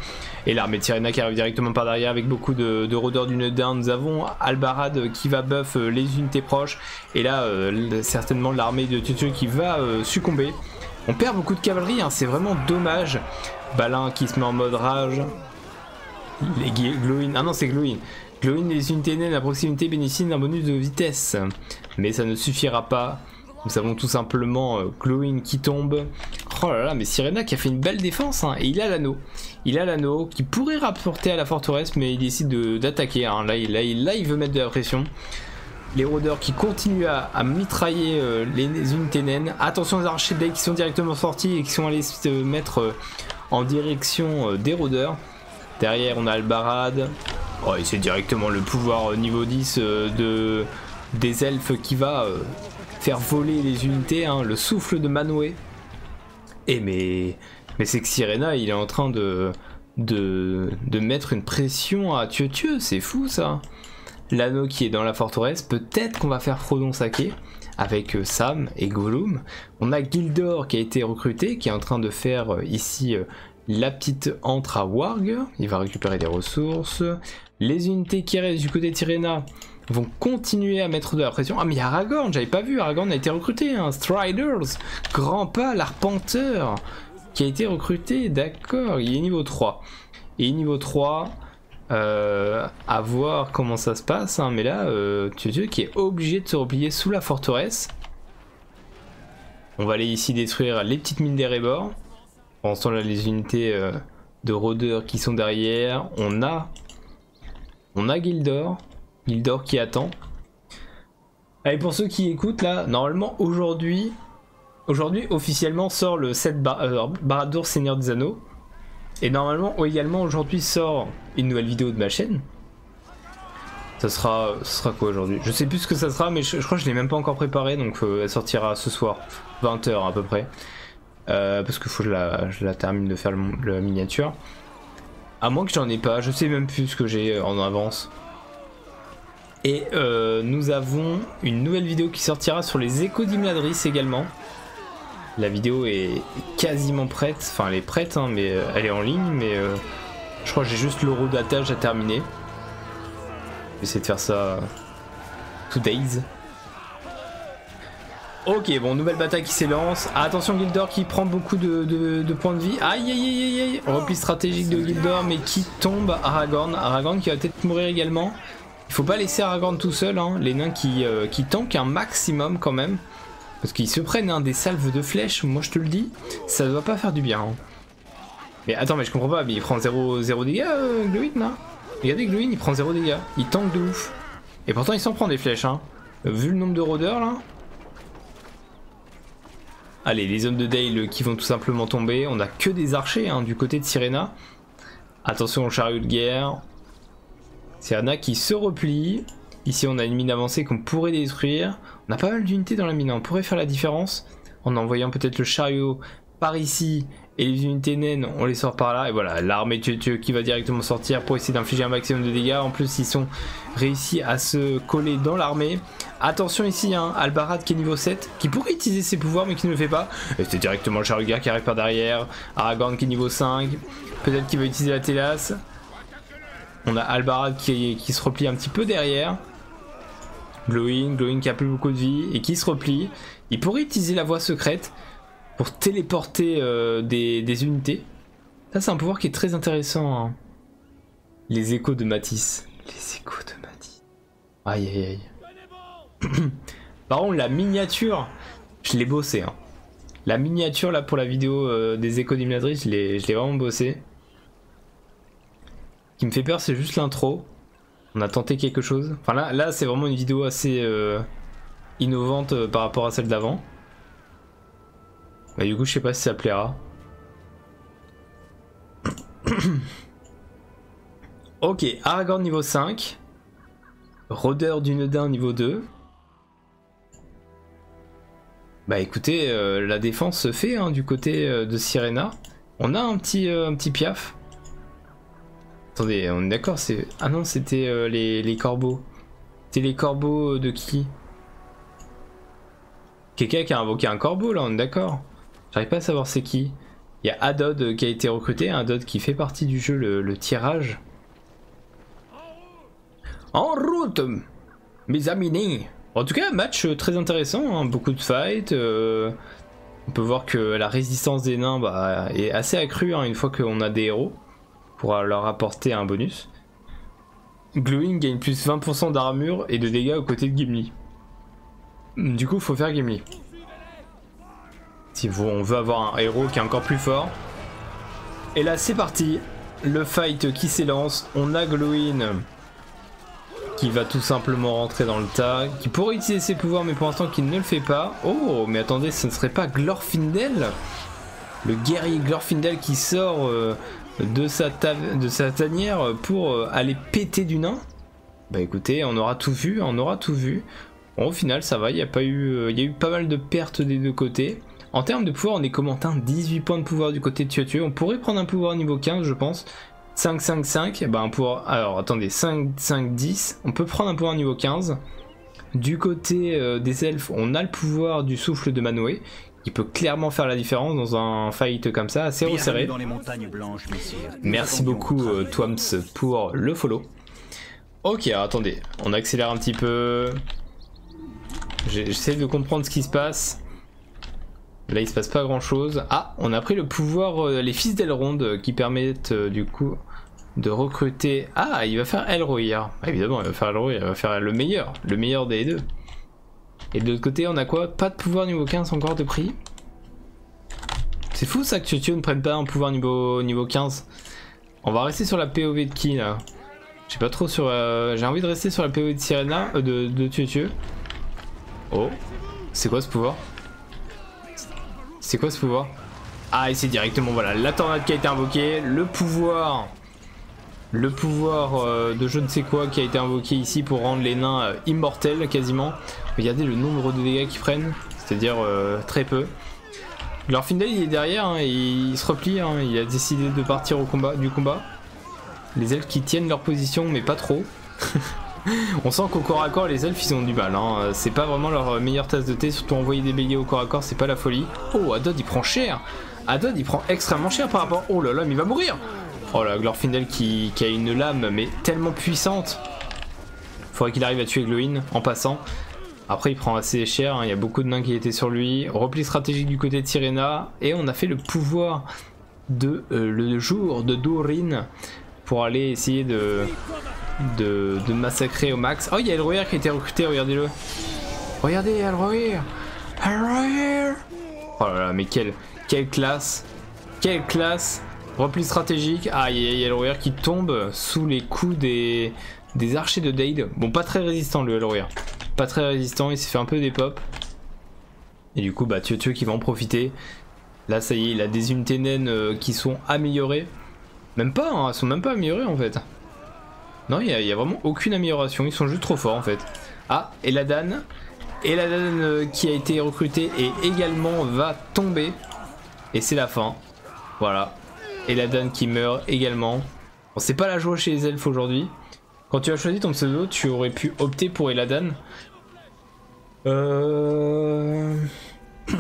Et l'armée de qui arrive directement par derrière avec beaucoup de, rôdeurs d'une down. Nous avons Albarad qui va buff euh, les unités proches. Et là, euh, certainement l'armée de Tutu qui va euh, succomber. On perd beaucoup de cavalerie, hein. c'est vraiment dommage. Balin qui se met en mode rage. Les Glowin. Ah non, c'est Glowin. Glowin les unités naines à proximité bénéficient d'un bonus de vitesse. Mais ça ne suffira pas. Nous avons tout simplement Glowin qui tombe. Oh là là, mais Sirena qui a fait une belle défense, hein, et il a l'anneau. Il a l'anneau qui pourrait rapporter à la forteresse, mais il décide d'attaquer. Hein. Là, il, veut mettre de la pression. Les rôdeurs qui continuent à, mitrailler euh, les, Attention aux archers qui sont directement sortis et qui sont allés se mettre euh, en direction euh, des rôdeurs. Derrière, on a Albarad. Oh, et c'est directement le pouvoir niveau 10 de, des elfes qui va faire voler les unités, hein, le souffle de Manoué. Et eh, mais, c'est que Sirena, il est en train de, de, mettre une pression à Dieu Dieu, c'est fou ça. L'anneau qui est dans la forteresse, peut-être qu'on va faire Frodon Saké avec euh, Sam et Gollum. On a Gildor qui a été recruté, qui est en train de faire euh, ici euh, la petite entre à Warg. Il va récupérer des ressources. Les unités qui restent du côté de vont continuer à mettre de la pression. Ah mais il Aragorn, j'avais pas vu, Aragorn a été recruté, hein. Striders, Grand Pas, l'Arpenteur, qui a été recruté, d'accord, il est niveau 3. Et niveau 3, euh, à voir comment ça se passe, hein, mais là, euh, tu qui est obligé de se replier sous la forteresse. On va aller ici détruire les petites mines des on sent là les unités euh, de rôdeurs qui sont derrière. On a... On a Gildor. Gildor qui attend. Et pour ceux qui écoutent, là, normalement, aujourd'hui... Aujourd'hui, officiellement, sort le 7 euh, bar Seigneur des Anneaux. Et normalement, également, aujourd'hui, sort une nouvelle vidéo de ma chaîne. Ça sera, sera quoi aujourd'hui Je sais plus ce que ça sera, mais je, crois que je l'ai même pas encore préparé, donc euh, elle sortira ce soir, 20h à peu près. Euh, parce que faut que je la, termine de faire la miniature. À moins que j'en ai pas, je sais même plus ce que j'ai euh, en avance. Et euh, nous avons une nouvelle vidéo qui sortira sur les échos d'Imladris également. La vidéo est quasiment prête, enfin elle est prête, hein, mais elle est en ligne, mais je crois que j'ai juste l'eurodatage à terminer. essayer de faire ça tous days. Ok, bon, nouvelle bataille qui s'élance. attention, Gildor qui prend beaucoup de, points de vie. Aïe, aïe, aïe, aïe. Repli stratégique de Gildor, mais qui tombe Aragorn. Aragorn qui va peut-être mourir également. Il faut pas laisser Aragorn tout seul. Hein. Les nains euh, qui, tankent un maximum quand même. Parce qu'ils se prennent hein, des salves de flèches, moi je te le dis. Ça ne doit pas faire du bien. Hein. Mais attends, mais je comprends pas. Mais il prend 0, 0 dégâts, de euh, Regardez Glowin, il prend zéro dégâts. Il tank de ouf. Et pourtant, il s'en prend des flèches. Hein. Vu le nombre de rôdeurs là. Allez, les hommes de Dale qui vont tout simplement tomber. On a que des archers hein, du côté de Sirena. Attention au chariot de guerre. Sirena qui se replie. Ici, on a une mine avancée qu'on pourrait détruire. On a pas mal d'unités dans la mine. Hein. On pourrait faire la différence en envoyant peut-être le chariot par ici et les unités naines on les sort par là et voilà l'armée qui va directement sortir pour essayer d'infliger un maximum de dégâts en plus ils sont réussis à se coller dans l'armée attention ici hein, Albarad qui est niveau 7 qui pourrait utiliser ses pouvoirs mais qui ne le fait pas et c'est directement Charuga qui arrive par derrière Aragorn qui est niveau 5 peut-être qu'il va utiliser la Télas on a Albarad qui, qui se replie un petit peu derrière Glowing, Glowing qui a plus beaucoup de vie et qui se replie il pourrait utiliser la voie secrète pour téléporter euh, des, unités. Ça, c'est un pouvoir qui est très intéressant. Hein. Les échos de Matisse. Les échos de Matisse. Aïe, aïe, aïe. Par contre, la miniature, je l'ai bossé. Hein. La miniature, là, pour la vidéo euh, des échos d'Imladris, je l'ai vraiment bossé. Ce qui me fait peur, c'est juste l'intro. On a tenté quelque chose. Enfin là, c'est vraiment une vidéo assez euh, innovante euh, par rapport à celle d'avant. Mais bah, du coup, je sais pas si ça plaira. ok, Aragorn niveau 5. Rodeur du Nedin niveau 2. Bah écoutez, euh, la défense se fait hein, du côté de Sirena. On a un petit, un petit piaf. Attendez, on est d'accord, c'est... Ah non, c'était euh, les, corbeaux. C'était les corbeaux de qui Quelqu'un qui a invoqué un corbeau, là, on est d'accord. J'arrive pas à savoir c'est qui. Il y a Adod qui a été recruté, Adod qui fait partie du jeu, le, tirage. En route, mes amis. En tout cas, match euh, très intéressant, hein, beaucoup de fights, euh, on peut voir que la résistance des nains bah, est assez accrue hein, une fois qu'on a des héros pour leur apporter un bonus. Glowing gagne plus 20% d'armure et de dégâts aux côtés de Gimli. Du coup, faut faire Gimli. Si on veut avoir un héros qui est encore plus fort. Et là, c'est parti. Le fight qui s'élance. On a Glowing qui va tout simplement rentrer dans le tas, qui pourrait utiliser ses pouvoirs, mais pour l'instant qui ne le fait pas. Oh, mais attendez, ce ne serait pas Glorfindel Le guerrier Glorfindel qui sort euh, de, sa de sa tanière pour euh, aller péter du nain Bah écoutez, on aura tout vu, on aura tout vu. au final, ça va, il y, a pas eu, euh, il y a eu pas mal de pertes des deux côtés. En termes de pouvoir, on est comment 18 points de pouvoir du côté de tué On pourrait prendre un pouvoir niveau 15, je pense. 5, 5, 5, bah un pouvoir... Alors, attendez, 5, 5, 10 on peut prendre un pouvoir niveau 15. Du côté euh, des elfes, on a le pouvoir du souffle de Manoué, Il peut clairement faire la différence dans un fight comme ça, assez resserré. Merci beaucoup euh, Twams pour le follow. Ok, attendez, on accélère un petit peu. J'essaie de comprendre ce qui se passe. Là, il se passe pas grand chose. Ah, on a pris le pouvoir, euh, les fils d'Elrond qui permettent du coup de recruter. Ah, il va faire Elroyar. Hein. Bah, évidemment, il va faire il va faire le meilleur, le meilleur des deux. Et de l'autre côté, on a quoi Pas de pouvoir niveau 15 encore de prix. C'est fou ça que tu ne prenne pas un pouvoir niveau, niveau 15. On va rester sur la POV de qui là J'ai pas trop sur. Euh, j'ai envie de rester sur la POV de Sirena, euh, de, de Oh, c'est quoi ce pouvoir c'est quoi ce pouvoir Ah, et c'est directement, voilà, la tornade qui a été invoquée, le pouvoir... Le pouvoir euh, de je ne sais quoi qui a été invoqué ici pour rendre les nains euh, immortels quasiment. Regardez le nombre de dégâts qu'ils prennent, c'est-à-dire euh, très peu. Leur Findel il est derrière, hein, il se replie, hein, il a décidé de partir au combat du combat. Les elfes qui tiennent leur position mais pas trop. On sent qu'au corps à corps, les elfes ils ont du mal. Hein. C'est pas vraiment leur meilleure tasse de thé, surtout envoyer des béliers au corps à corps, c'est pas la folie. Oh, Adod il prend cher Adod il prend extrêmement cher par rapport. Oh là là, mais il va mourir Oh la Glorfindel qui, qui a une lame, mais tellement puissante. Faudrait qu'il arrive à tuer Glowin en passant. Après, il prend assez cher, hein. il y a beaucoup de nains qui étaient sur lui. Repli stratégique du côté de Sirena. Et on a fait le pouvoir de euh, le jour de Dorin pour aller essayer de, de, massacrer au max. Oh, il y a Elroyer qui a été recruté, regardez-le. Regardez, Elroyer Elroyer Oh là là, mais quelle, quelle classe Quelle classe Repli stratégique. Ah, il y a Elroyer qui tombe sous les coups des, des archers de Dade. Bon, pas très résistant le Elroyer. Pas très résistant, il s'est fait un peu des pops. Et du coup, bah, veux qui va en profiter Là, ça y est, il a des unités naines euh, qui sont améliorées. Même pas, elles hein, sont même pas améliorées en fait. Non, il n'y a, vraiment aucune amélioration, ils sont juste trop forts en fait. Ah, et la Dan. Et la Dan euh, qui a été recrutée et également va tomber. Et c'est la fin. Voilà. Et la Dan qui meurt également. Bon, c'est pas la joie chez les elfes aujourd'hui. Quand tu as choisi ton pseudo, tu aurais pu opter pour Eladan. Euh,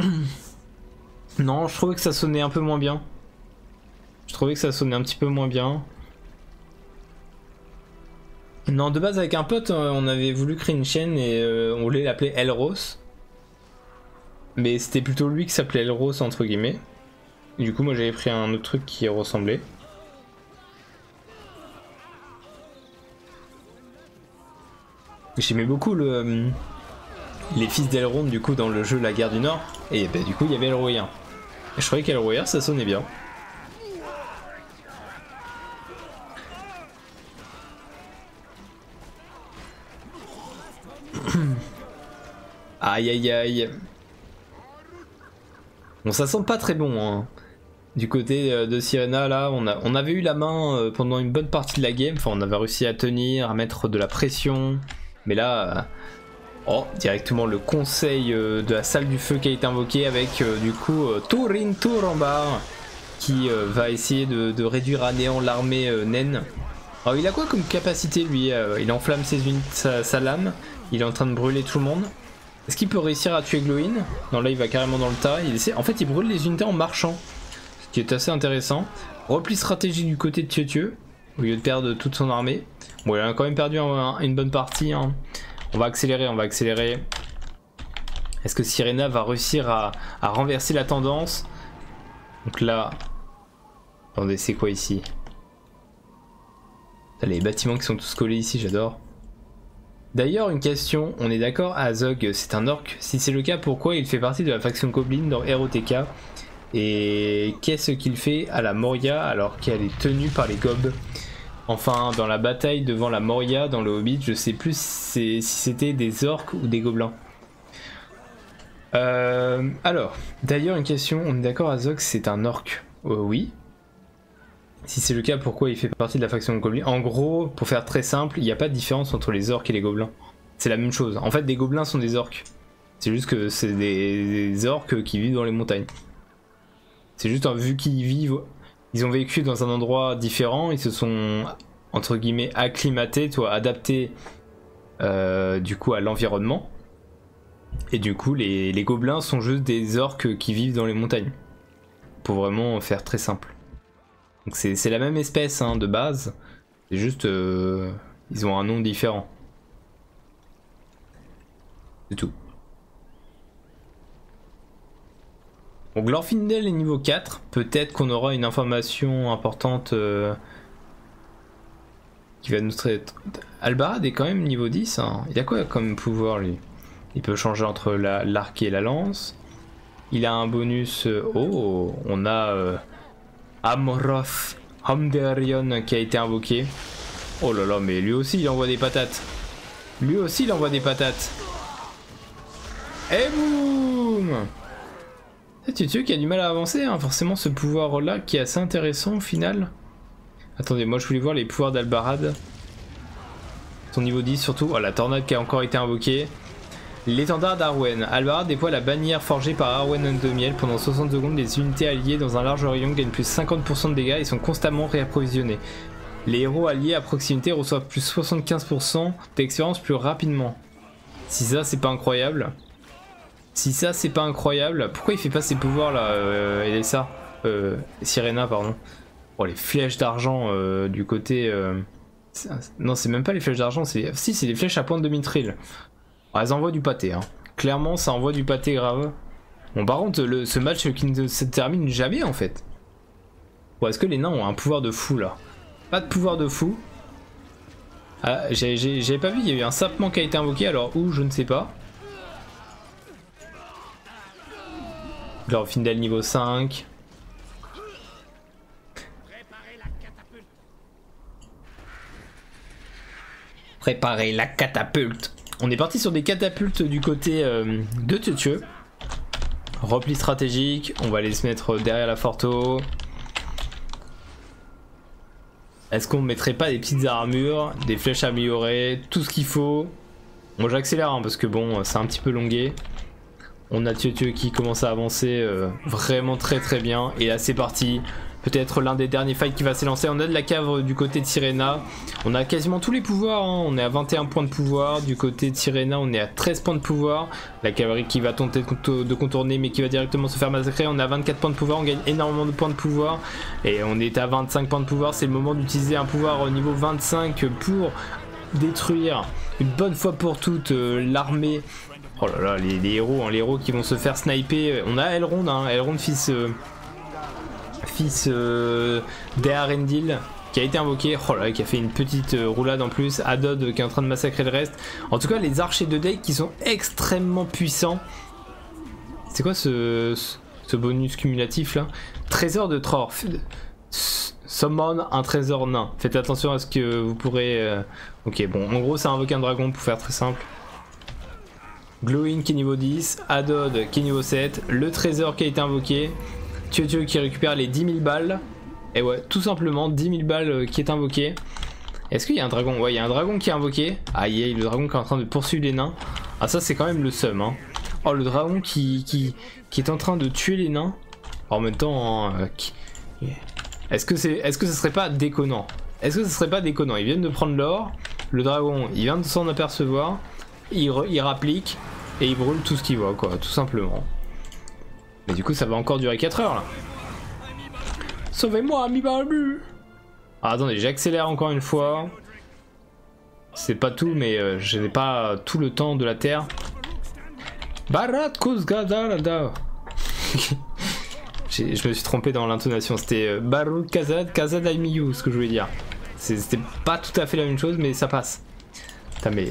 non, je trouvais que ça sonnait un peu moins bien. Je trouvais que ça sonnait un petit peu moins bien. Non, de base, avec un pote, euh, on avait voulu créer une chaîne et euh, on voulait l'appeler Elros. Mais c'était plutôt lui qui s'appelait Elros, entre guillemets. Du coup, moi j'avais pris un autre truc qui ressemblait. J'aimais beaucoup le, euh, les fils d'Elrond du coup dans le jeu La Guerre du Nord. Et bah, du coup il y avait Elroyen. Hein. je croyais qu'Elroyen ça sonnait bien. aïe aïe aïe. Bon ça sent pas très bon hein. Du côté euh, de Sirena là on avait eu la main euh, euh, pendant une bonne partie de la game. Enfin, on avait réussi à tenir, à mettre de la pression. Mais là, euh, oh, directement le conseil euh, de la salle du feu qui a été invoqué avec du coup Torin Tour en qui va essayer de, réduire à néant l'armée naine. Alors, il a quoi comme capacité lui Il enflamme ses unités, sa, lame, il est en train de brûler tout le monde. Est-ce qu'il peut réussir à tuer Glowin Non, là il va carrément dans le tas. Il En fait, il brûle les unités en marchant ce qui est assez intéressant. Repli stratégique du côté de Tieu au lieu de perdre toute son armée. Bon, elle a quand même perdu une bonne partie. Hein. On va accélérer, on va accélérer. Est-ce que Sirena va réussir à, renverser la tendance Donc là... Attendez, c'est quoi ici les bâtiments qui sont tous collés ici, j'adore. D'ailleurs, une question, on est d'accord, Azog, c'est un si c'est le cas, pourquoi il fait partie de la faction Goblin dans ROTK Et qu'est-ce qu'il fait à la Moria alors qu'elle est tenue par les Gobs Enfin, dans la bataille devant la Moria dans le Hobbit, je sais plus si c'était des orques ou des gobelins. Euh, alors, d'ailleurs, une question, on est d'accord, Azog, c'est un orque euh, Oui. Si c'est le cas, pourquoi il fait partie de la faction Goblin En gros, pour faire très simple, il n'y a pas de différence entre les orques et les gobelins. C'est la même chose. En fait, des gobelins sont des orques. C'est juste que c'est des, orques qui vivent dans les montagnes. C'est juste, vu qu'ils vivent, ils ont vécu dans un endroit différent, ils se sont, entre guillemets, acclimatés, toi, adaptés euh, du coup à l'environnement. Et du coup, les, les gobelins sont juste des orques qui vivent dans les montagnes. Pour vraiment faire très simple. Donc c'est la même espèce hein, de base, c'est juste euh, ils ont un nom différent. C'est tout. Donc l'Orfindel est niveau 4, peut-être qu'on aura une information importante euh, qui va nous traiter. Albarad est quand même niveau 10, hein. il a quoi comme pouvoir lui Il peut changer entre l'arc et la lance, il a un bonus. Euh, oh, on a euh, Amroth Amderion qui a été invoqué. Oh là là, mais lui aussi il envoie des patates. Lui aussi il envoie des patates. Et boum C'est eh, Tutsu qui a du mal à avancer, hein. forcément ce pouvoir là qui est assez intéressant au final. Attendez, moi je voulais voir les pouvoirs d'Albarad. Son niveau 10 surtout. Oh la tornade qui a encore été invoquée. L'étendard d'Arwen. Alvara déploie la bannière forgée par Arwen de Miel pendant 60 secondes. Les unités alliées dans un large rayon gagnent plus 50% de dégâts et sont constamment réapprovisionnées. Les héros alliés à proximité reçoivent plus 75% d'expérience plus rapidement. Si ça c'est pas incroyable. Si ça c'est pas incroyable. Pourquoi il fait pas ses pouvoirs là et euh, ça euh, Sirena pardon. Oh les flèches d'argent euh, du côté euh, non, c'est même pas les flèches d'argent, c'est. Si, c'est les flèches à pointe de mitril. Ah, elles envoient du pâté, hein. Clairement, ça envoie du pâté grave. Bon, par contre, ce match qui ne se termine jamais en fait. Ou est-ce que les nains ont un pouvoir de fou là Pas de pouvoir de fou. Ah, j'avais pas vu, il y a eu un sapement qui a été invoqué, alors où, je ne sais pas. Genre Findel niveau 5. Préparer la catapulte. On est parti sur des catapultes du côté euh, de Teutieu Repli stratégique. On va aller se mettre derrière la forte. Est-ce qu'on mettrait pas des petites armures, des flèches améliorées, tout ce qu'il faut Bon j'accélère hein, parce que bon c'est un petit peu longué. On a Tio qui commence à avancer euh, vraiment très très bien. Et là c'est parti. Peut-être l'un des derniers fights qui va s'élancer. On a de la cave du côté de Sirena. On a quasiment tous les pouvoirs. Hein. On est à 21 points de pouvoir. Du côté de Sirena, on est à 13 points de pouvoir. La cavalerie qui va tenter de contourner mais qui va directement se faire massacrer. On a 24 points de pouvoir. On gagne énormément de points de pouvoir. Et on est à 25 points de pouvoir. C'est le moment d'utiliser un pouvoir au niveau 25 pour détruire une bonne fois pour toutes euh, l'armée Oh là là, les, héros, hein, les héros qui vont se faire sniper. On a Elrond, hein, Elrond fils, euh, fils euh, d'Arendil qui a été invoqué, oh qui a fait une petite euh, roulade en plus, Adod euh, qui est en train de massacrer le reste. En tout cas, les archers de deck qui sont extrêmement puissants. C'est quoi ce, bonus cumulatif là Trésor de Troor Summon un trésor nain. Faites attention à ce que vous pourrez... Euh, ok, bon, en gros, ça invoque un dragon pour faire très simple. Glowing qui est niveau 10, Adod qui est niveau 7, le trésor qui a été invoqué, Tio qui récupère les 10 000 balles, et ouais, tout simplement 10 000 balles euh, qui est invoqué. Est-ce qu'il y a un dragon Ouais, il y a un dragon qui est invoqué. Ah, le dragon qui est en train de poursuivre les nains. Ah, ça, c'est quand même le seum, hein. Oh, le dragon qui, qui est en train de tuer les nains. En même temps, hein, euh, est-ce que c'est, est-ce que ce serait pas déconnant Est-ce que ce serait pas déconnant Ils viennent de prendre l'or, le dragon, il vient de s'en apercevoir, il, rapplique et il brûle tout ce qu'il voit, quoi, tout simplement. Mais du coup, ça va encore durer 4 heures là. Sauvez-moi, ami barbu ah, Attendez, j'accélère encore une fois. C'est pas tout, mais euh, je n'ai pas tout le temps de la Terre Barat Kuzgadarada. Je me suis trompé dans l'intonation, c'était euh, Barut Kazad Kazad ce que je voulais dire. C'était pas tout à fait la même chose, mais ça passe. T'as mais.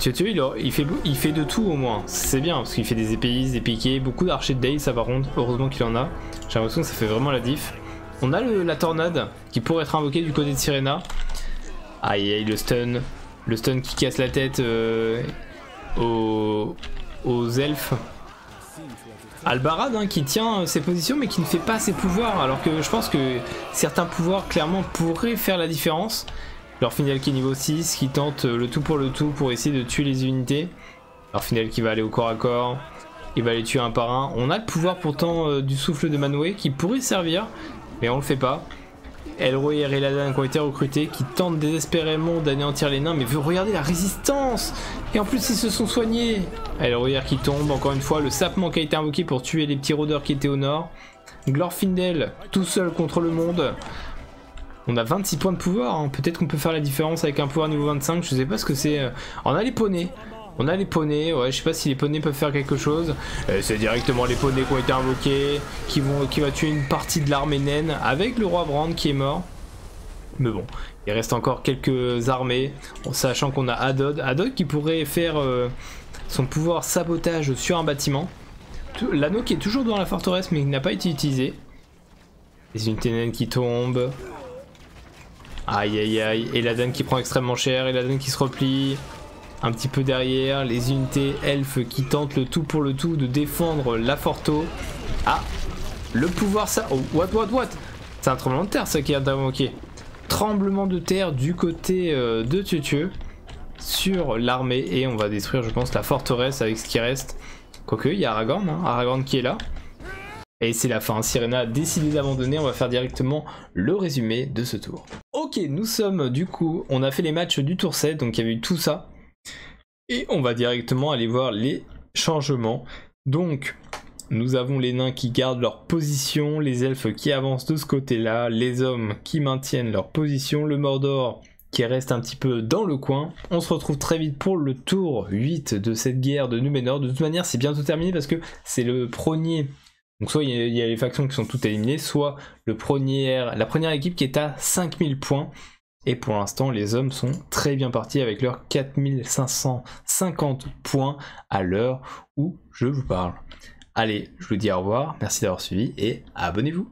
Tu tu il, fait, il fait de tout au moins. C'est bien, parce qu'il fait des épées des piquets, beaucoup d'archers de day, ça va rond. Heureusement qu'il en a. J'ai l'impression que ça fait vraiment la diff. On a la tornade qui pourrait être invoquée du côté de Sirena. Aïe aïe, le stun le stun qui casse la tête euh, aux, elfes. Albarad hein, qui tient euh, ses positions mais qui ne fait pas ses pouvoirs alors que je pense que certains pouvoirs clairement pourraient faire la différence. Leur qui est niveau 6 qui tente euh, le tout pour le tout pour essayer de tuer les unités. Leur qui va aller au corps à corps, il va les tuer un par un. On a le pouvoir pourtant du souffle de Manwe qui pourrait servir mais on le fait pas. Elroyer et ladin qui ont été recrutés, qui tentent désespérément d'anéantir les nains, mais regardez la résistance Et en plus ils se sont soignés Elroyer qui tombe, encore une fois, le sapement qui a été invoqué pour tuer les petits rôdeurs qui étaient au nord. Glorfindel, tout seul contre le monde. On a 26 points de pouvoir, hein. peut-être qu'on peut faire la différence avec un pouvoir niveau 25, je sais pas ce que c'est. Euh. On a les poneys on a les poneys, ouais, je sais pas si les poneys peuvent faire quelque chose. Euh, c'est directement les poneys qui ont été invoqués qui, va tuer une partie de l'armée naine avec le roi Brand qui est mort. Mais bon, il reste encore quelques armées, en sachant qu'on a Adod. Adod qui pourrait faire euh, son pouvoir sabotage sur un bâtiment. L'anneau qui est toujours dans la forteresse mais qui n'a pas été utilisé. Les unités naines qui tombent. Aïe aïe aïe. Et la qui prend extrêmement cher. Et la qui se replie un petit peu derrière, les unités elfes qui tentent le tout pour le tout de défendre la Forto. Ah, le pouvoir ça... Oh, what, what, what C'est un tremblement de terre ça qui a d'invoquer. Tremblement de terre du côté euh, de Tieu sur l'armée et on va détruire je pense la forteresse avec ce qui reste. Quoique, il y a Aragorn, hein, Aragorn qui est là. Et c'est la fin, Sirena a décidé d'abandonner, on va faire directement le résumé de ce tour. Ok, nous sommes du coup, on a fait les matchs du tour 7, donc il y avait eu tout ça. Et on va directement aller voir les changements. Donc, nous avons les nains qui gardent leur position, les elfes qui avancent de ce côté-là, les hommes qui maintiennent leur position, le Mordor qui reste un petit peu dans le coin. On se retrouve très vite pour le tour 8 de cette guerre de Numenor. De toute manière, c'est bientôt terminé parce que c'est le premier. Donc soit il y, a les factions qui sont toutes éliminées, soit le la première équipe qui est à 5000 points. Et pour l'instant, les hommes sont très bien partis avec leurs 4550 points à l'heure où je vous parle. Allez, je vous dis au revoir, merci d'avoir suivi et abonnez-vous.